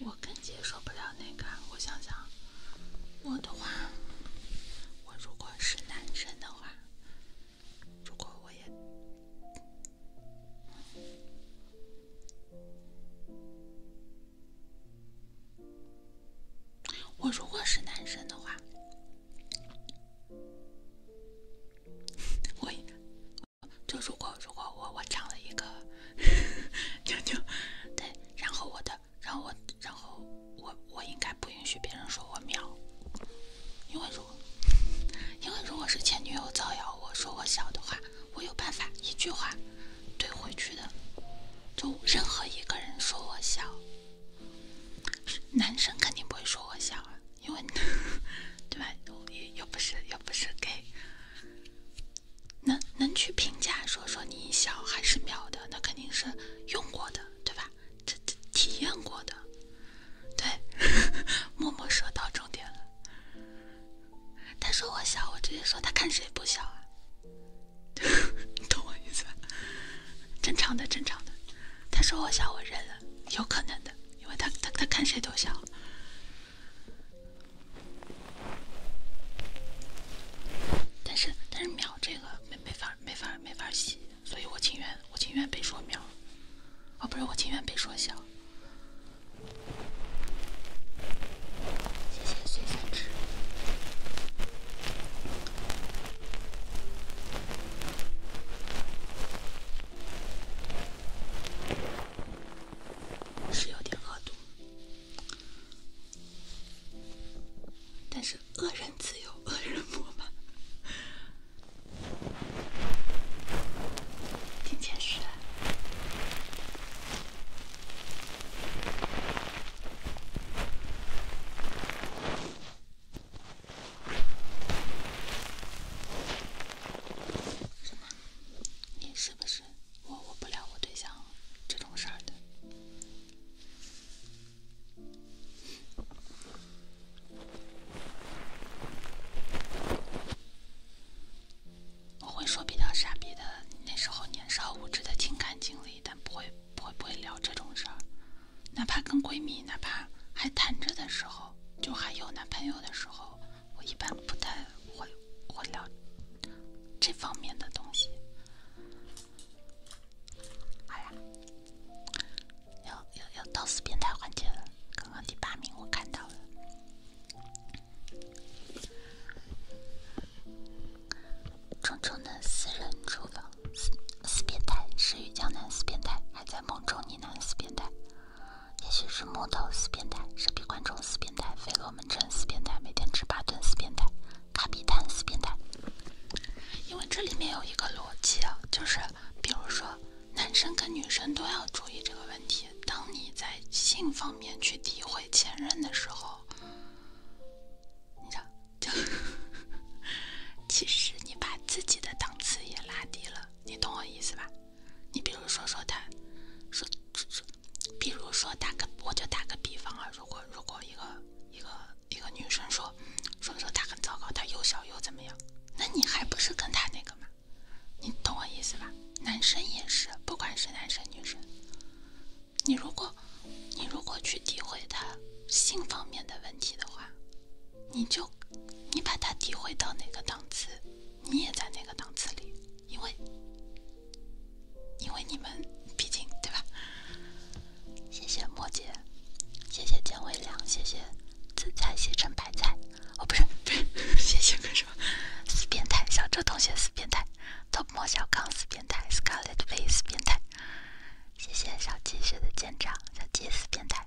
我跟接受不了那个，我想想，我的话，我如果是男生的话，如果我也，我如果是男生的话。<laughs> 我，就如果如果我我长了一个，妞 <laughs> 妞，对，然后我的，然后我，然后我我应该不允许别人说我秒，因为如，因为如果是前女友造谣我说我小的话，我有办法一句话怼回去的，就任何一个人说我小，男生肯定不会说我小啊。因为，<laughs> 对吧？又又不是又不是给，能能去评价说说你小还是秒的，那肯定是用过的，对吧？这这体验过的，对。<laughs> 默默说到重点了，他说我小，我直接说他看谁不小啊？你 <laughs> 懂我意思吧？正常的正常的。他说我小，我认了，有可能的。因为他他他看谁都笑，但是但是秒这个没没法没法没法洗，所以我情愿我情愿被说秒，哦不是我情愿被说笑。谢谢随心吃。是有点恶毒，但是恶人自有恶人磨嘛。听解是，什么？你是不是我我不聊我对象这种事儿的？我会说比较傻逼的那时候年少无知的情感经历，但不会不会不会聊这种事儿。哪怕跟闺蜜，哪怕还谈着的时候，就还有男朋友的时候，我一般不太会会聊这方面的东西。哎呀，要要要到死变态环节了。刚刚第八名我看到了，重重的私人厨房，死死变态，是雨江南，死变态还在。梦中呢喃，死变态；也许是木头，死变态；是闭观中，死变态；飞蛾们称，死变态；每天吃八顿，死变态；卡比坦，死变态。因为这里面有一个逻辑啊，就是比如说，男生跟女生都要注意这个问题。当你在性方面去诋毁前任的时候，你 <laughs> 其实你把自己的档次也拉低了。你懂我意思吧？你比如说说他，说说，比如说打个我就打个比方啊，如果如果一个一个一个女生说说说他很糟糕，他又小又怎么样，那你还不是跟他那个吗？你懂我意思吧？男生也是，不管是男生女生，你如果你如果去诋毁他性方面的问题的话。你就，你把它体会到哪个档次，你也在那个档次里，因为，因为你们毕竟对吧？谢谢摩羯，谢谢姜伟凉，谢谢紫菜，谢成白菜。哦不是，<laughs> 谢谢干么？死变态小周同学，死变态 t o p 莫小康死变态，Scarlet Face 死变态，谢谢小鸡学的舰长，小鸡死变态。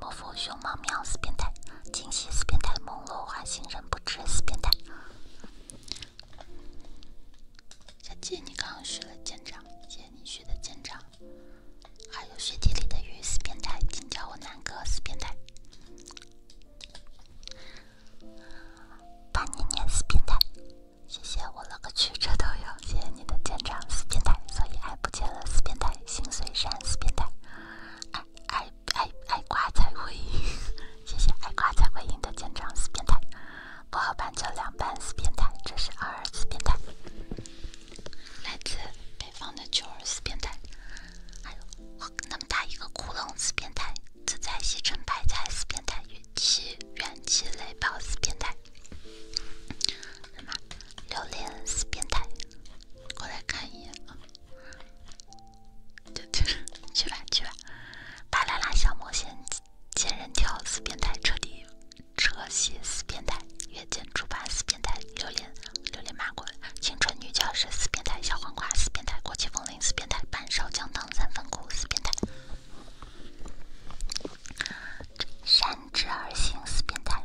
莫负熊猫喵，死变态！惊喜死变态，梦落花，心人不知死变态。小杰，你刚刚学了舰长，谢谢你学的舰长。还有雪地里的鱼，死变态！请叫我南哥，死变态！把你捏死变态！谢谢我了个去，这都有！谢谢你的舰长，死变态！所以爱不见了，死变态！心碎山，死变态！爱爱。爱爱瓜才会，赢，<laughs> 谢谢爱瓜才会赢的舰长死变态，不好办就两搬死变态，这是二死变态，来自北方的九死变态，还有那么大一个窟窿死变态，自在西城白菜死变态，元气元气雷爆死变态，什么榴莲死变态。过来看一眼，去去 <laughs> 去吧去吧，巴啦啦小魔仙，贱人跳，死变态彻底，车西死变态，月见竹发死变态，榴莲榴莲麻果，青春女教师死变态，小黄瓜死变态，国旗风铃死变态，半勺姜汤三分苦死变态，山之二心死变态。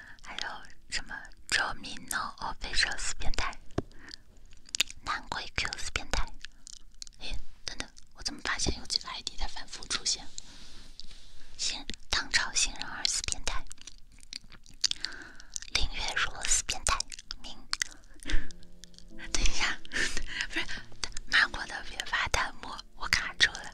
还有什么周 c i a l s 变态、南归 Q 四变态？哎，等等，我怎么发现有几个 ID 在反复出现？新唐朝新人二四变态，林月如四变态。明，<laughs> 等一下，<laughs> 不是骂过 <laughs> 的别发弹幕，我卡住了。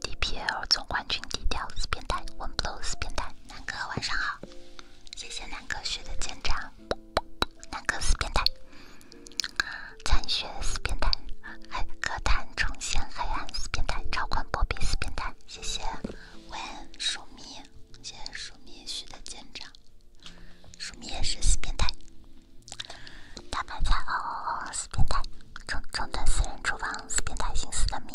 DPL 总冠军低调死变态，One b l o w 死变态，南哥晚上好，谢谢南哥学的肩长。南哥死变态，残血死变态，哎，歌坛重现黑暗死变态，超宽波比死变态，谢谢 One 守密，谢谢守密学的肩长。守密也是死变态，大白菜哦哦哦死变态，中中等私人厨房死变态，姓死的命。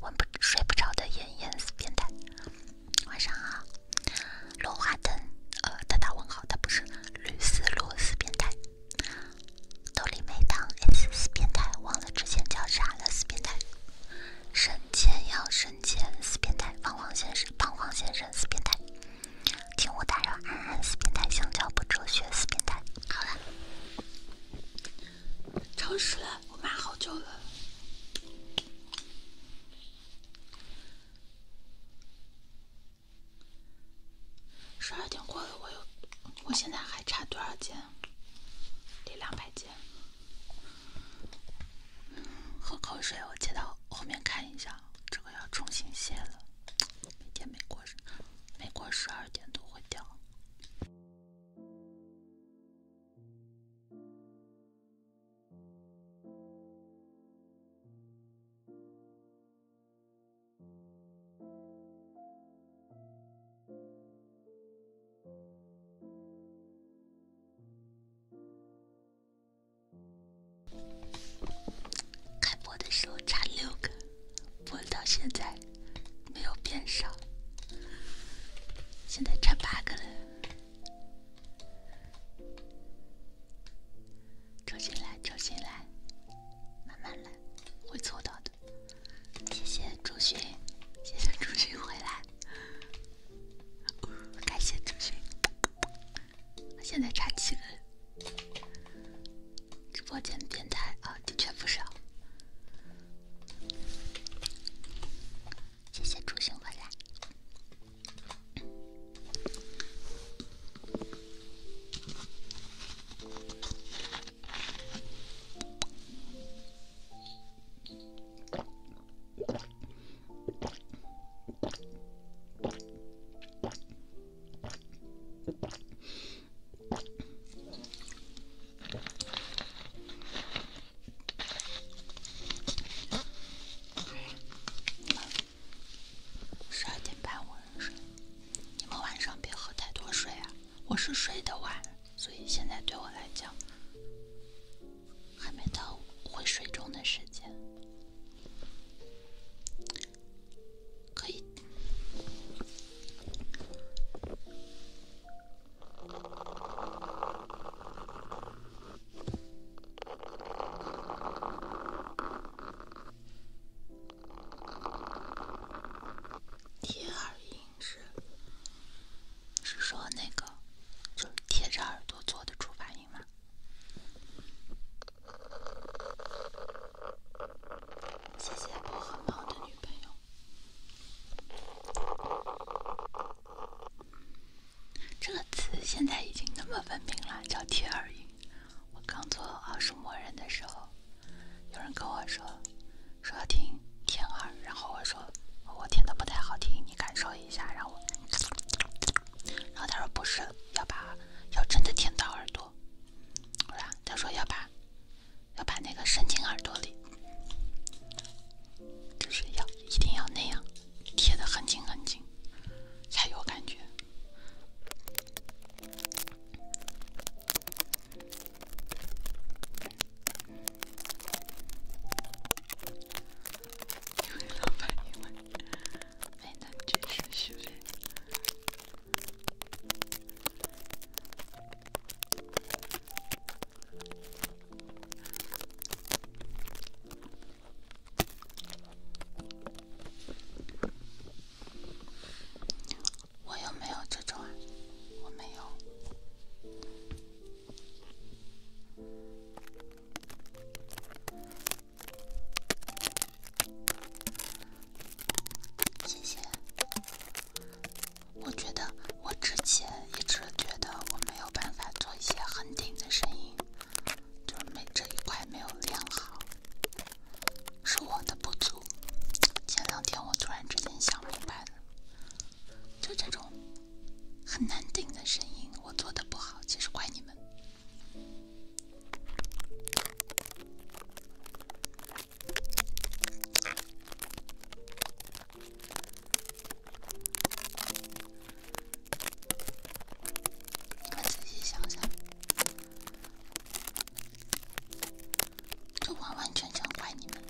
闻不睡不着的颜颜死变态，晚上好，落花灯，呃，他打问号，他不是绿丝露死变态，豆粒没糖 X 死变态，忘了之前叫啥了，死变态，神仙要神仙死变态，彷黄先生彷黄先生死变态，请勿打扰，安安死变态，香蕉不哲学死变态，好了。超时了，我妈好久了。十二点过了，我有，我现在还差多少斤？得两百斤。喝口水，我接到后面看一下，这个要重新卸了。每天没过，没过十二点都会掉。开播的时候差六个，播到现在。没有变少，现在差八个了。周巡来，周巡来，慢慢来，会凑到的。谢谢周巡，谢谢周巡回来，感谢周巡。现在差七个，直播间变态啊，的确不少。谢谢出行回来。十二点半我入睡，你们晚上别喝太多水啊。我是睡得晚，所以现在对我来讲，还没到会睡中的时间，可以。贴耳音是是说那个就是贴着耳朵做的助发音吗？谢谢我荷猫的女朋友。这个词现在已经那么文明了，叫贴耳音。我刚做奥数模人的时候，有人跟我说，说要听舔耳，然后我说我舔的不太好听，你感受一下。让我，然后他说不是，要把要真的舔到耳朵。吧？他说要把要把那个伸进耳朵里。就是要一定要那样贴的很紧很紧才有感觉。我有没有这种啊？我没有。谢谢。我觉得我之前一直觉得我没有办法做一些很顶的声音，就是没这一块没有练好，是我的不足。前两天我突然之间想明白了，就这种很难顶的声音，我做的不好，其实怪你们。你们仔细想想，这完完全全怪你们！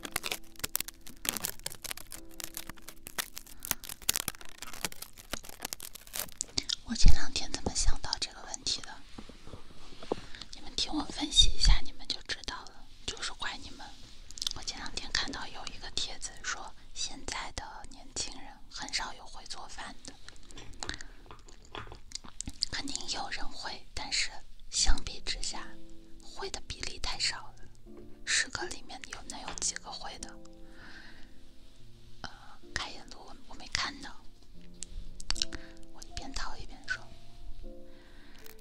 我前两天怎么想到这个问题的？你们听我分析一下，你们就知道了。就是怪你们！我前两天看到有一个帖子说，现在的年轻人很少有会做饭的。肯定有人会，但是相比之下，会的比例太少了。十个里面有能有几个会的？呃，开眼我我没看到，我一边掏一边说。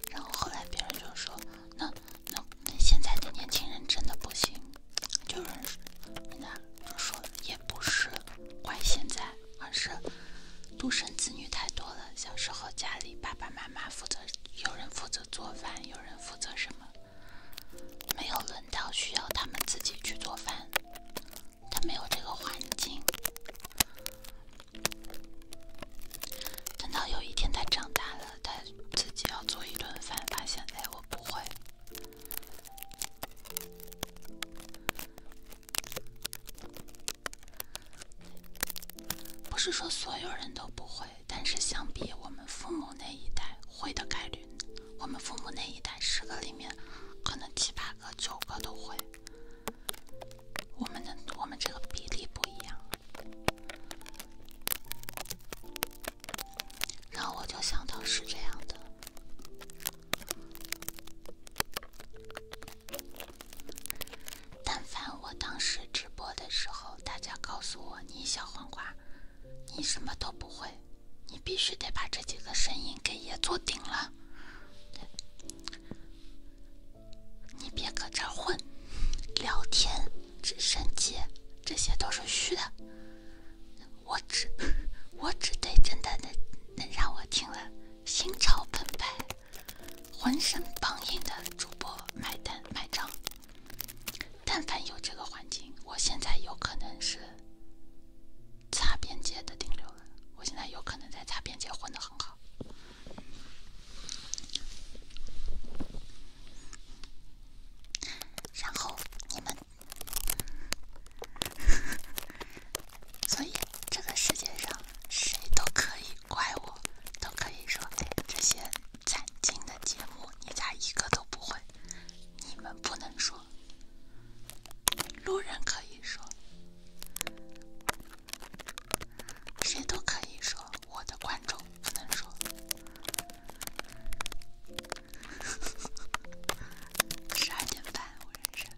然后后来别人就说：“那那那现在的年轻人真的不行。”就是那就说也不是怪现在，而是独生子女太多了。小时候家里爸爸妈妈负责，有人负责做饭，有人负责什么，没有轮到需要他们自己去做饭，他没有这个环境。等到有一天他长大了。他自己要做一顿饭，但现在我不会。不是说所有人都不会，但是相比我们父母那一代，会的概率，我们父母那一代十个里面，可能七八个、九个都会。我们的我们这个比例不一样。然后我就想到是这样的。但凡我当时直播的时候，大家告诉我你小黄瓜，你什么都不会，你必须得把这几个声音给也做顶了，你别搁这混。聊天、直升机，这些都是虚的。我只我只对真的能能让我听了心潮澎湃、浑身梆硬的主播买单买账。但凡有这个环境，我现在有可能是擦边界的顶流了。我现在有可能在擦边界混得很好。然后你们，所以这个世界上谁都可以怪我，都可以说这些惨精的节目你咋一个都不会？你们不能说，路人可以说，谁都可以说。我的观众，不能说 <laughs> 十二点半，我认识。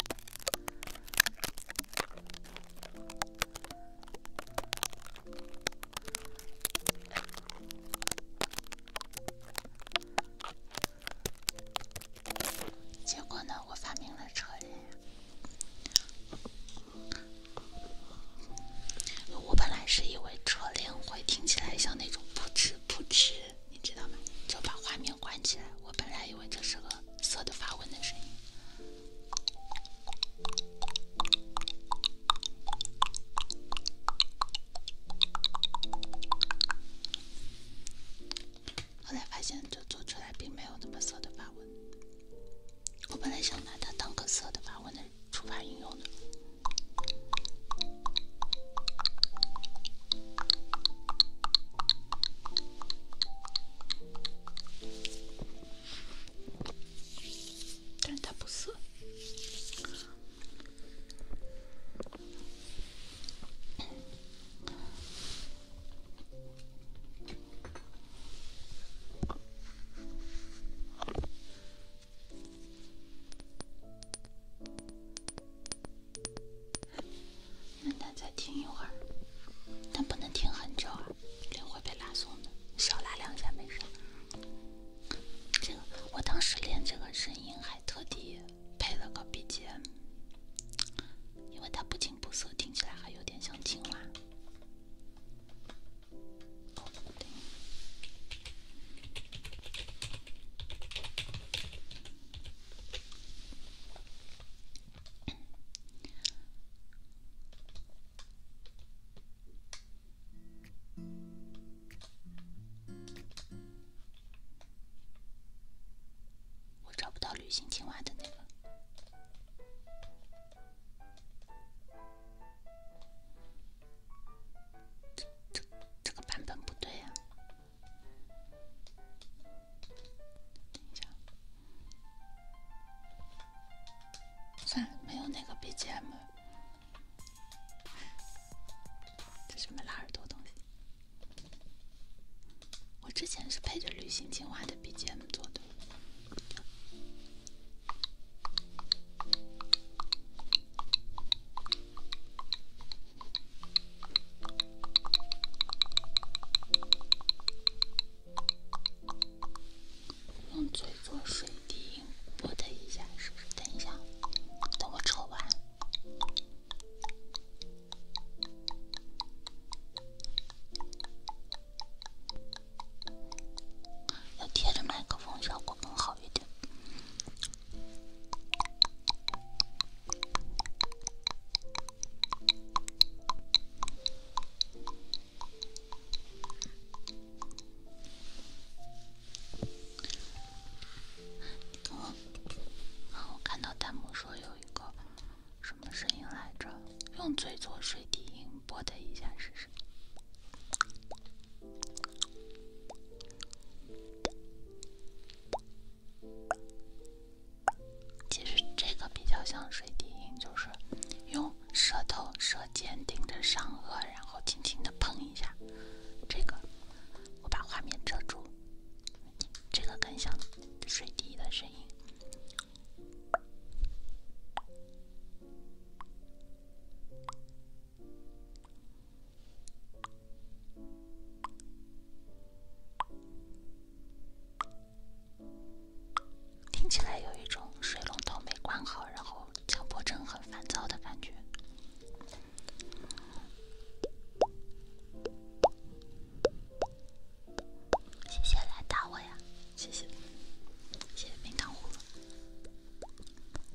结果呢，我发明了车人，我本来以为车帘会听起来像那种扑哧扑哧，你知道吗？就把画面关起来。我本来以为这是个色的发问的声音，后来发现就做出来并没有那么色的发纹。我本来想拿它当个色的发纹的。触发应用的，但它不涩。那再听一会儿，但不能听很久啊，脸会被拉松的。你少拉两下没事。这个我当时练这个声音还特地配了个 BGM，因为它不青不涩，听起来还有点像青蛙。我找不到旅行青蛙的那个。这这这个版本不对呀！等一下，算了，没有那个 BGM，这是什拉耳朵东西？我之前是配着《旅行青蛙》的 BGM 做的。用嘴做水滴，拨的一下，是不是？等一下，等我抽完。要贴着麦克风效果更好一点。我看到弹幕说有一个什么声音来着？用嘴做水滴音。拨它一下试试。其实这个比较像水滴音，就是用舌头舌尖顶着上颚，然后轻轻的碰一下。这个我把画面遮住，这个更像水滴的声音。听起来有一种水龙头没关好，然后强迫症很烦躁的感觉。谢谢来打我呀！谢谢，谢谢冰糖葫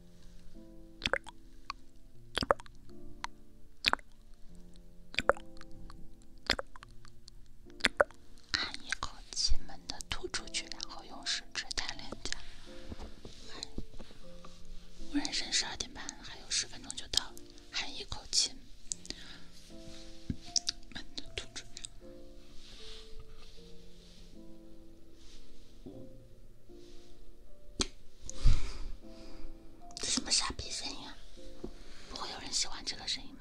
含一口气，慢的吐出去，然后用食指弹脸颊。我人生十二点半，还有十分钟就到。含一口气，慢的吐出。这什么傻逼声音？啊？不会有人喜欢这个声音吗？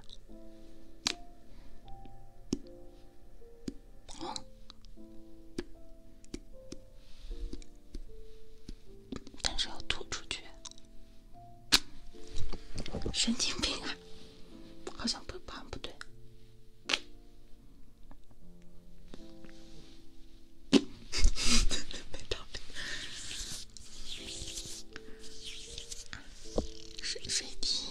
但是要吐出去，神经病啊！好像不，好像不对。水水晶，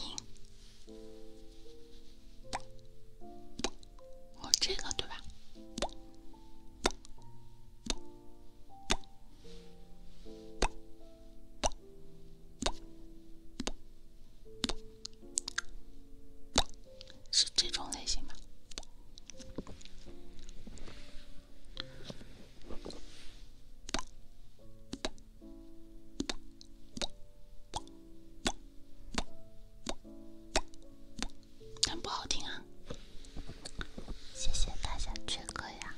我这个对吧？是这种类型吗？但不好听啊！谢谢大家追个呀！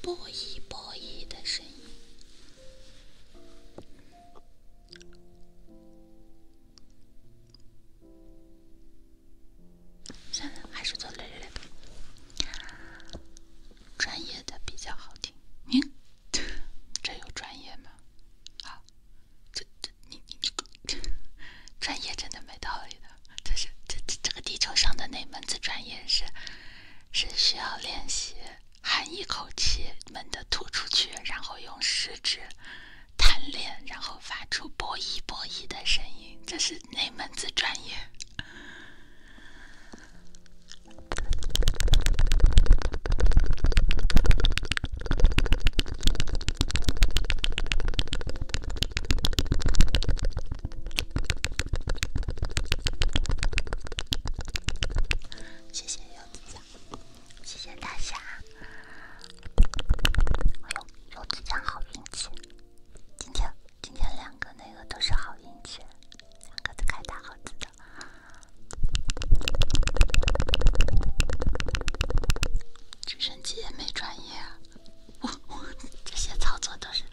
波一波一的声音。算了，还是做累累吧。专业的比较好听，你这有专业吗？好，这这你你这你，专业真的没道理的。这是这这这个地球上的哪门子专业是是需要练习？含一口气，猛地吐出去，然后用食指弹脸，然后发出“啵一啵一”的声音，这是哪门子专业？谢谢。有纸枪，谢谢大侠！哎呦，有纸枪好运气！今天，今天两个那个都是好运气，两个都开大盒子的。直升机也没专业，我 <laughs> 我这些操作都是。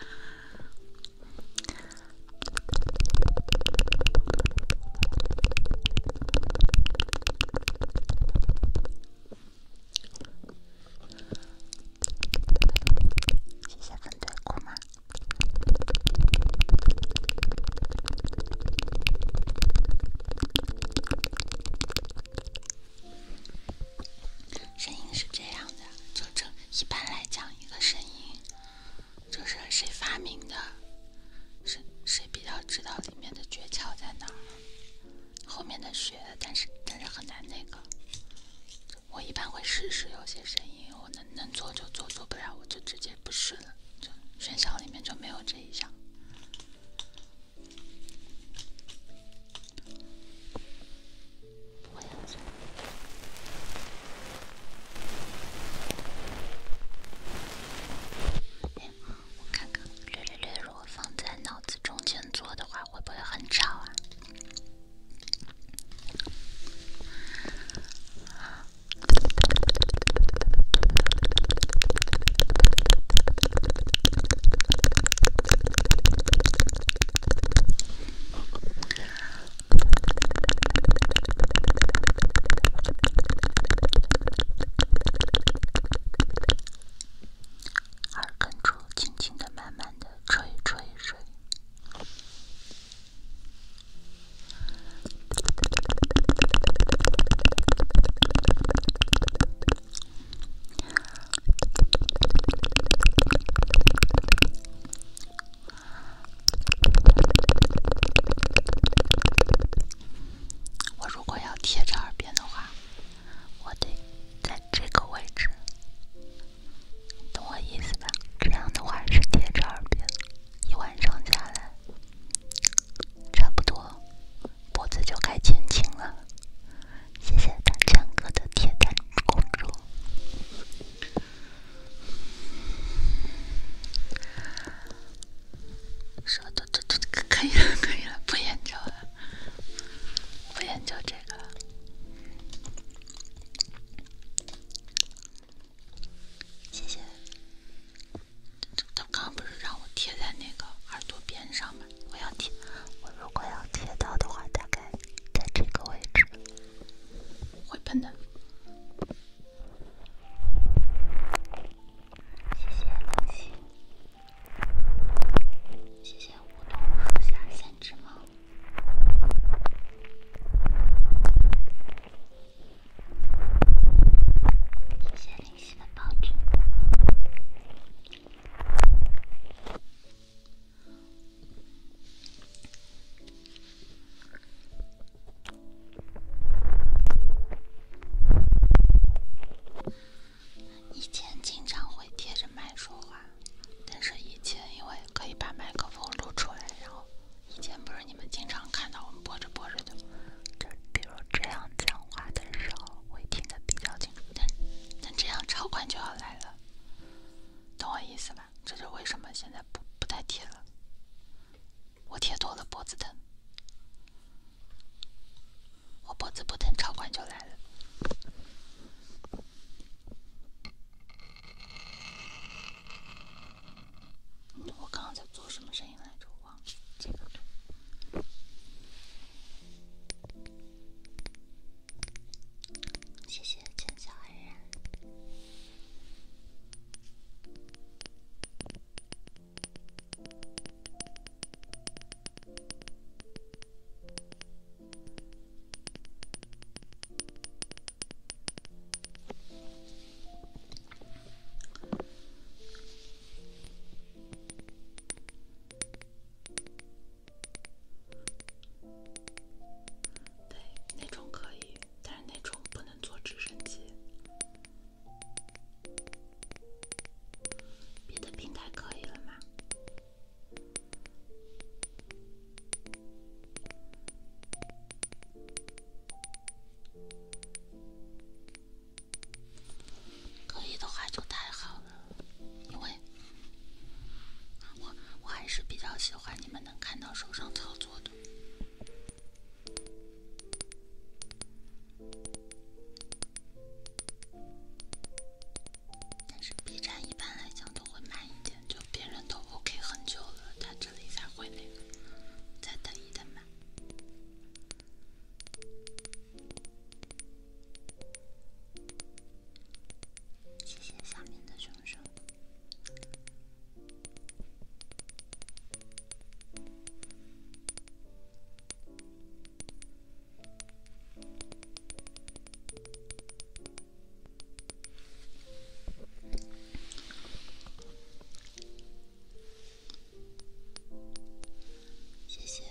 谢谢分队库吗？声音是这样的，就这一般来讲一个声音。就是谁发明的？谁谁比较知道里面的诀窍在哪儿？后面的学，但是但是很难那个。我一般会试试有些声音，我能能做就做，做不了我就直接不试了。就选项里面就没有这一项。我看看，绿绿绿，如果放在脑子中间做的话，会不会很吵啊？耳根处，轻轻地、慢慢地吹吹吹。我如果要贴着耳边的话，我得在这个位置，懂我意思吧？这样的话是贴着耳边，一晚上下来，差不多脖子就该减轻了。谢谢大权哥的铁蛋公主。舌头都都可以了，可以了，不研究了，不研究这个了。谢谢。他刚刚不是让我贴在那个耳朵边上吗？我要贴，我如果要贴到的话，大概在这个位置，会喷的。谢谢冷溪，谢谢梧桐树下三只猫，谢谢冷溪的抱枕。以前经常会贴着麦说话，但是以前因为可以把麦克风露出来，然后以前不是你们经常看到我们播着播着就就比如这样讲话的时候会听得比较清楚。但但这样超管就要来了，懂我意思吧？这就为什么现在不不太贴了。我贴多了，脖子疼。我脖子不疼，超管就来了。我刚刚在做什么声音来着？我忘了。这个。谢谢陈小安然。对，那种可以，但是那种不能坐直升机。别的平台可以了吗？可以的话就太好了，因为我我还是比较喜欢你们能看到手上操作的。但是 B 站一般来讲都会慢一点，就别人都 OK 很久了，他这里才会那个，再等一等吧。谢谢下面的熊熊。谢谢，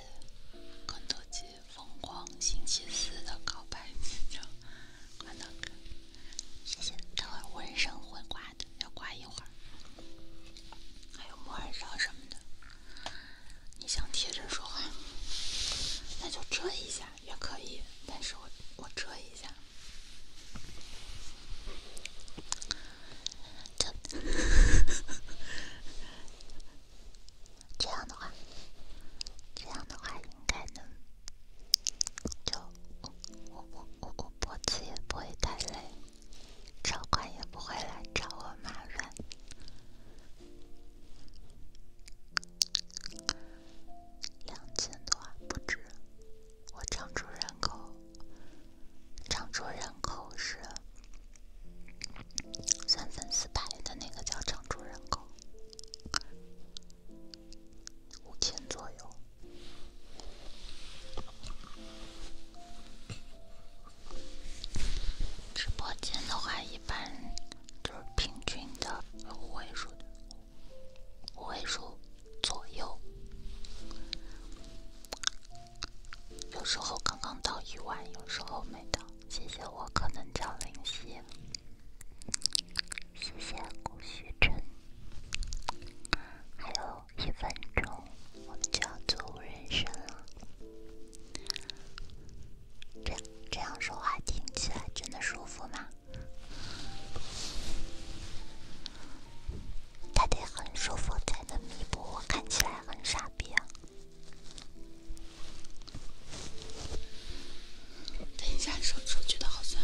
关头姐疯狂星期四的告白 <laughs> 谢谢，等会儿我生会挂。要挂一会儿，还有木耳勺什么的。你想贴着说话，那就遮一下也可以。但是我我遮一下，这这样的话，这样的话应该能就。我我我我脖子也不会太累，超管也不会来找我麻烦。两千多啊，不止。我常住人口，常住人口是三分四百的那个叫常住人口，五千左右。直播间的话，一般就是平均的五位数，五位数左右。有时候刚刚到一万，有时候没到。谢谢我可能叫灵犀，谢谢顾徐晨，还有。一分钟，我们就要走人生了。这这样说话听起来真的舒服吗？它得很舒服才能弥补我看起来很傻逼啊！等一下，手手觉得好酸。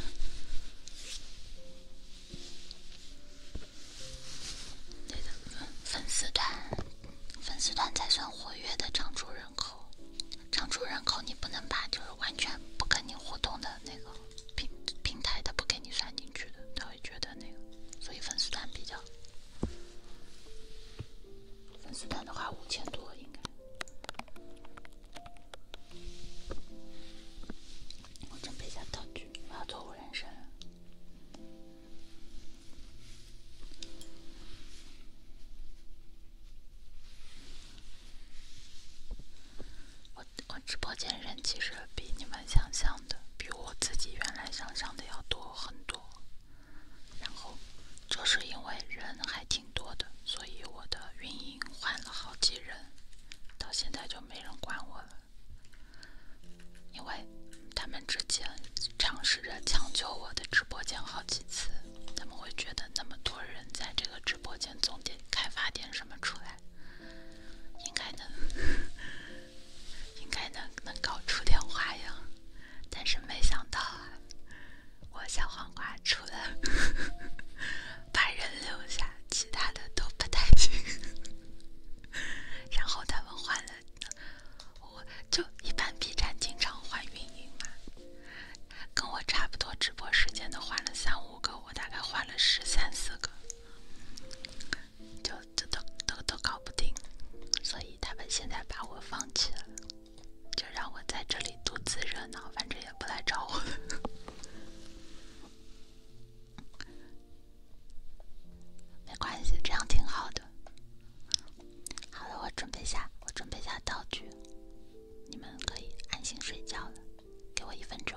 粉丝团，粉丝团才算活跃的常住人口。常住人口你不能把就是完全不跟你互动的那个平平台，的不给你算进去的，他会觉得那个。所以粉丝团比较，粉丝团的话五千多应该。我准备一下道具，我要做无人声。我我直播间人其实比你们想象的，比我自己原来想象的要多很多。然后，就是因为人还挺多的，所以我的运营换了好几人，到现在就没人管我了。因为他们之前尝试着抢救我的直播间好几次，他们会觉得那么多人在这个直播间，总得开发点什么出来，应该能，应该能能搞出点花样。但是没想到啊，我小黄瓜出来。把人留下，其他的都不太行。然后他们换了，我就一般 B 站经常换运营嘛，跟我差不多直播时间的换了三五个，我大概换了十三四个，就这都都都搞不定，所以他们现在把我放弃了，就让我在这里独自热闹，反正也不来找我。没关系，这样挺好的。好了，我准备下，我准备下道具，你们可以安心睡觉了。给我一分钟。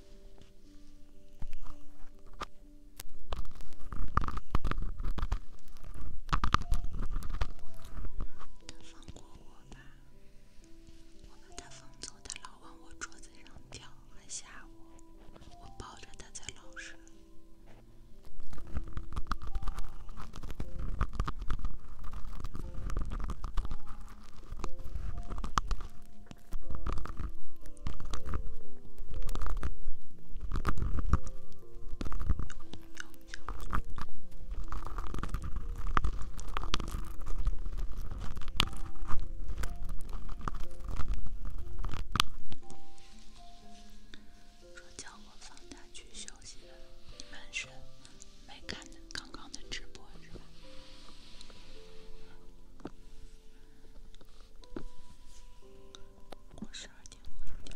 他放过我吧，我把他放走，他老往我桌子上跳，还吓我。我抱着他才老实。说叫我放假去休息的，你们是没看刚刚的直播是吧？我十二点回。掉。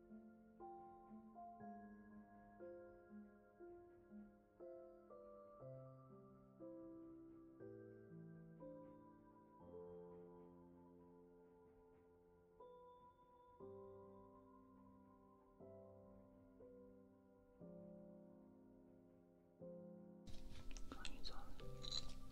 终于做了。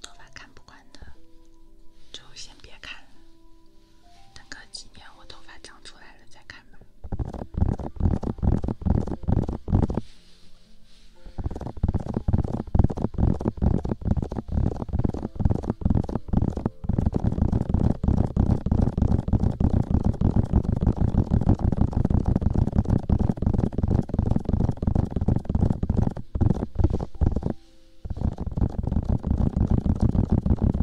头发看不惯的，就先别看等个几年，我头发长出来。再开门。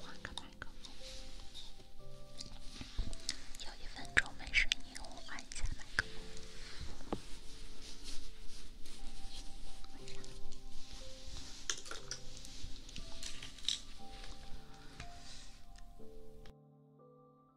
换个麦克，有一分钟没声音，我换一下麦克。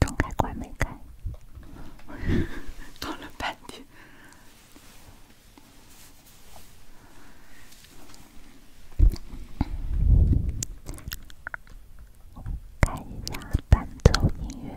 灯开关没开，搞了半天。开一下伴奏音乐。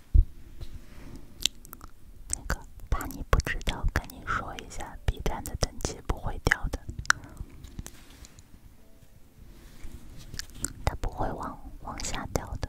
那个，怕你不知道，跟你说一下，B 站的等级不会掉的，它不会往往下掉的。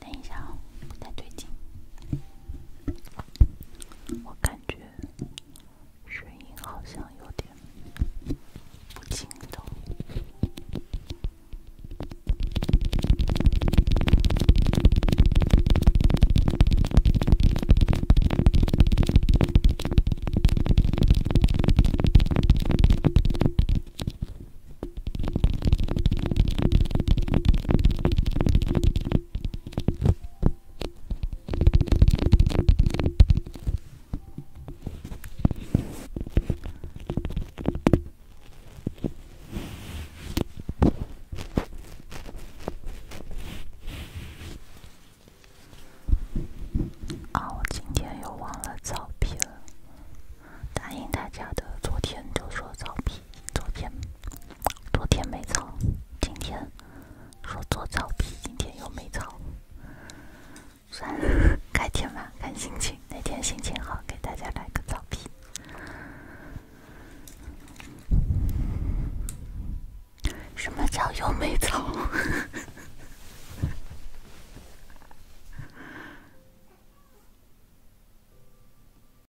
等一下啊，不太对劲，我感觉声音好像有点不清晰。哦，我今天又忘了照片，答应大家的，昨天就说照片。昨天，昨天没草，今天说做草皮，今天又没草，算了，改天吧，看心情，哪天心情好，给大家来个草皮。什么叫又没草？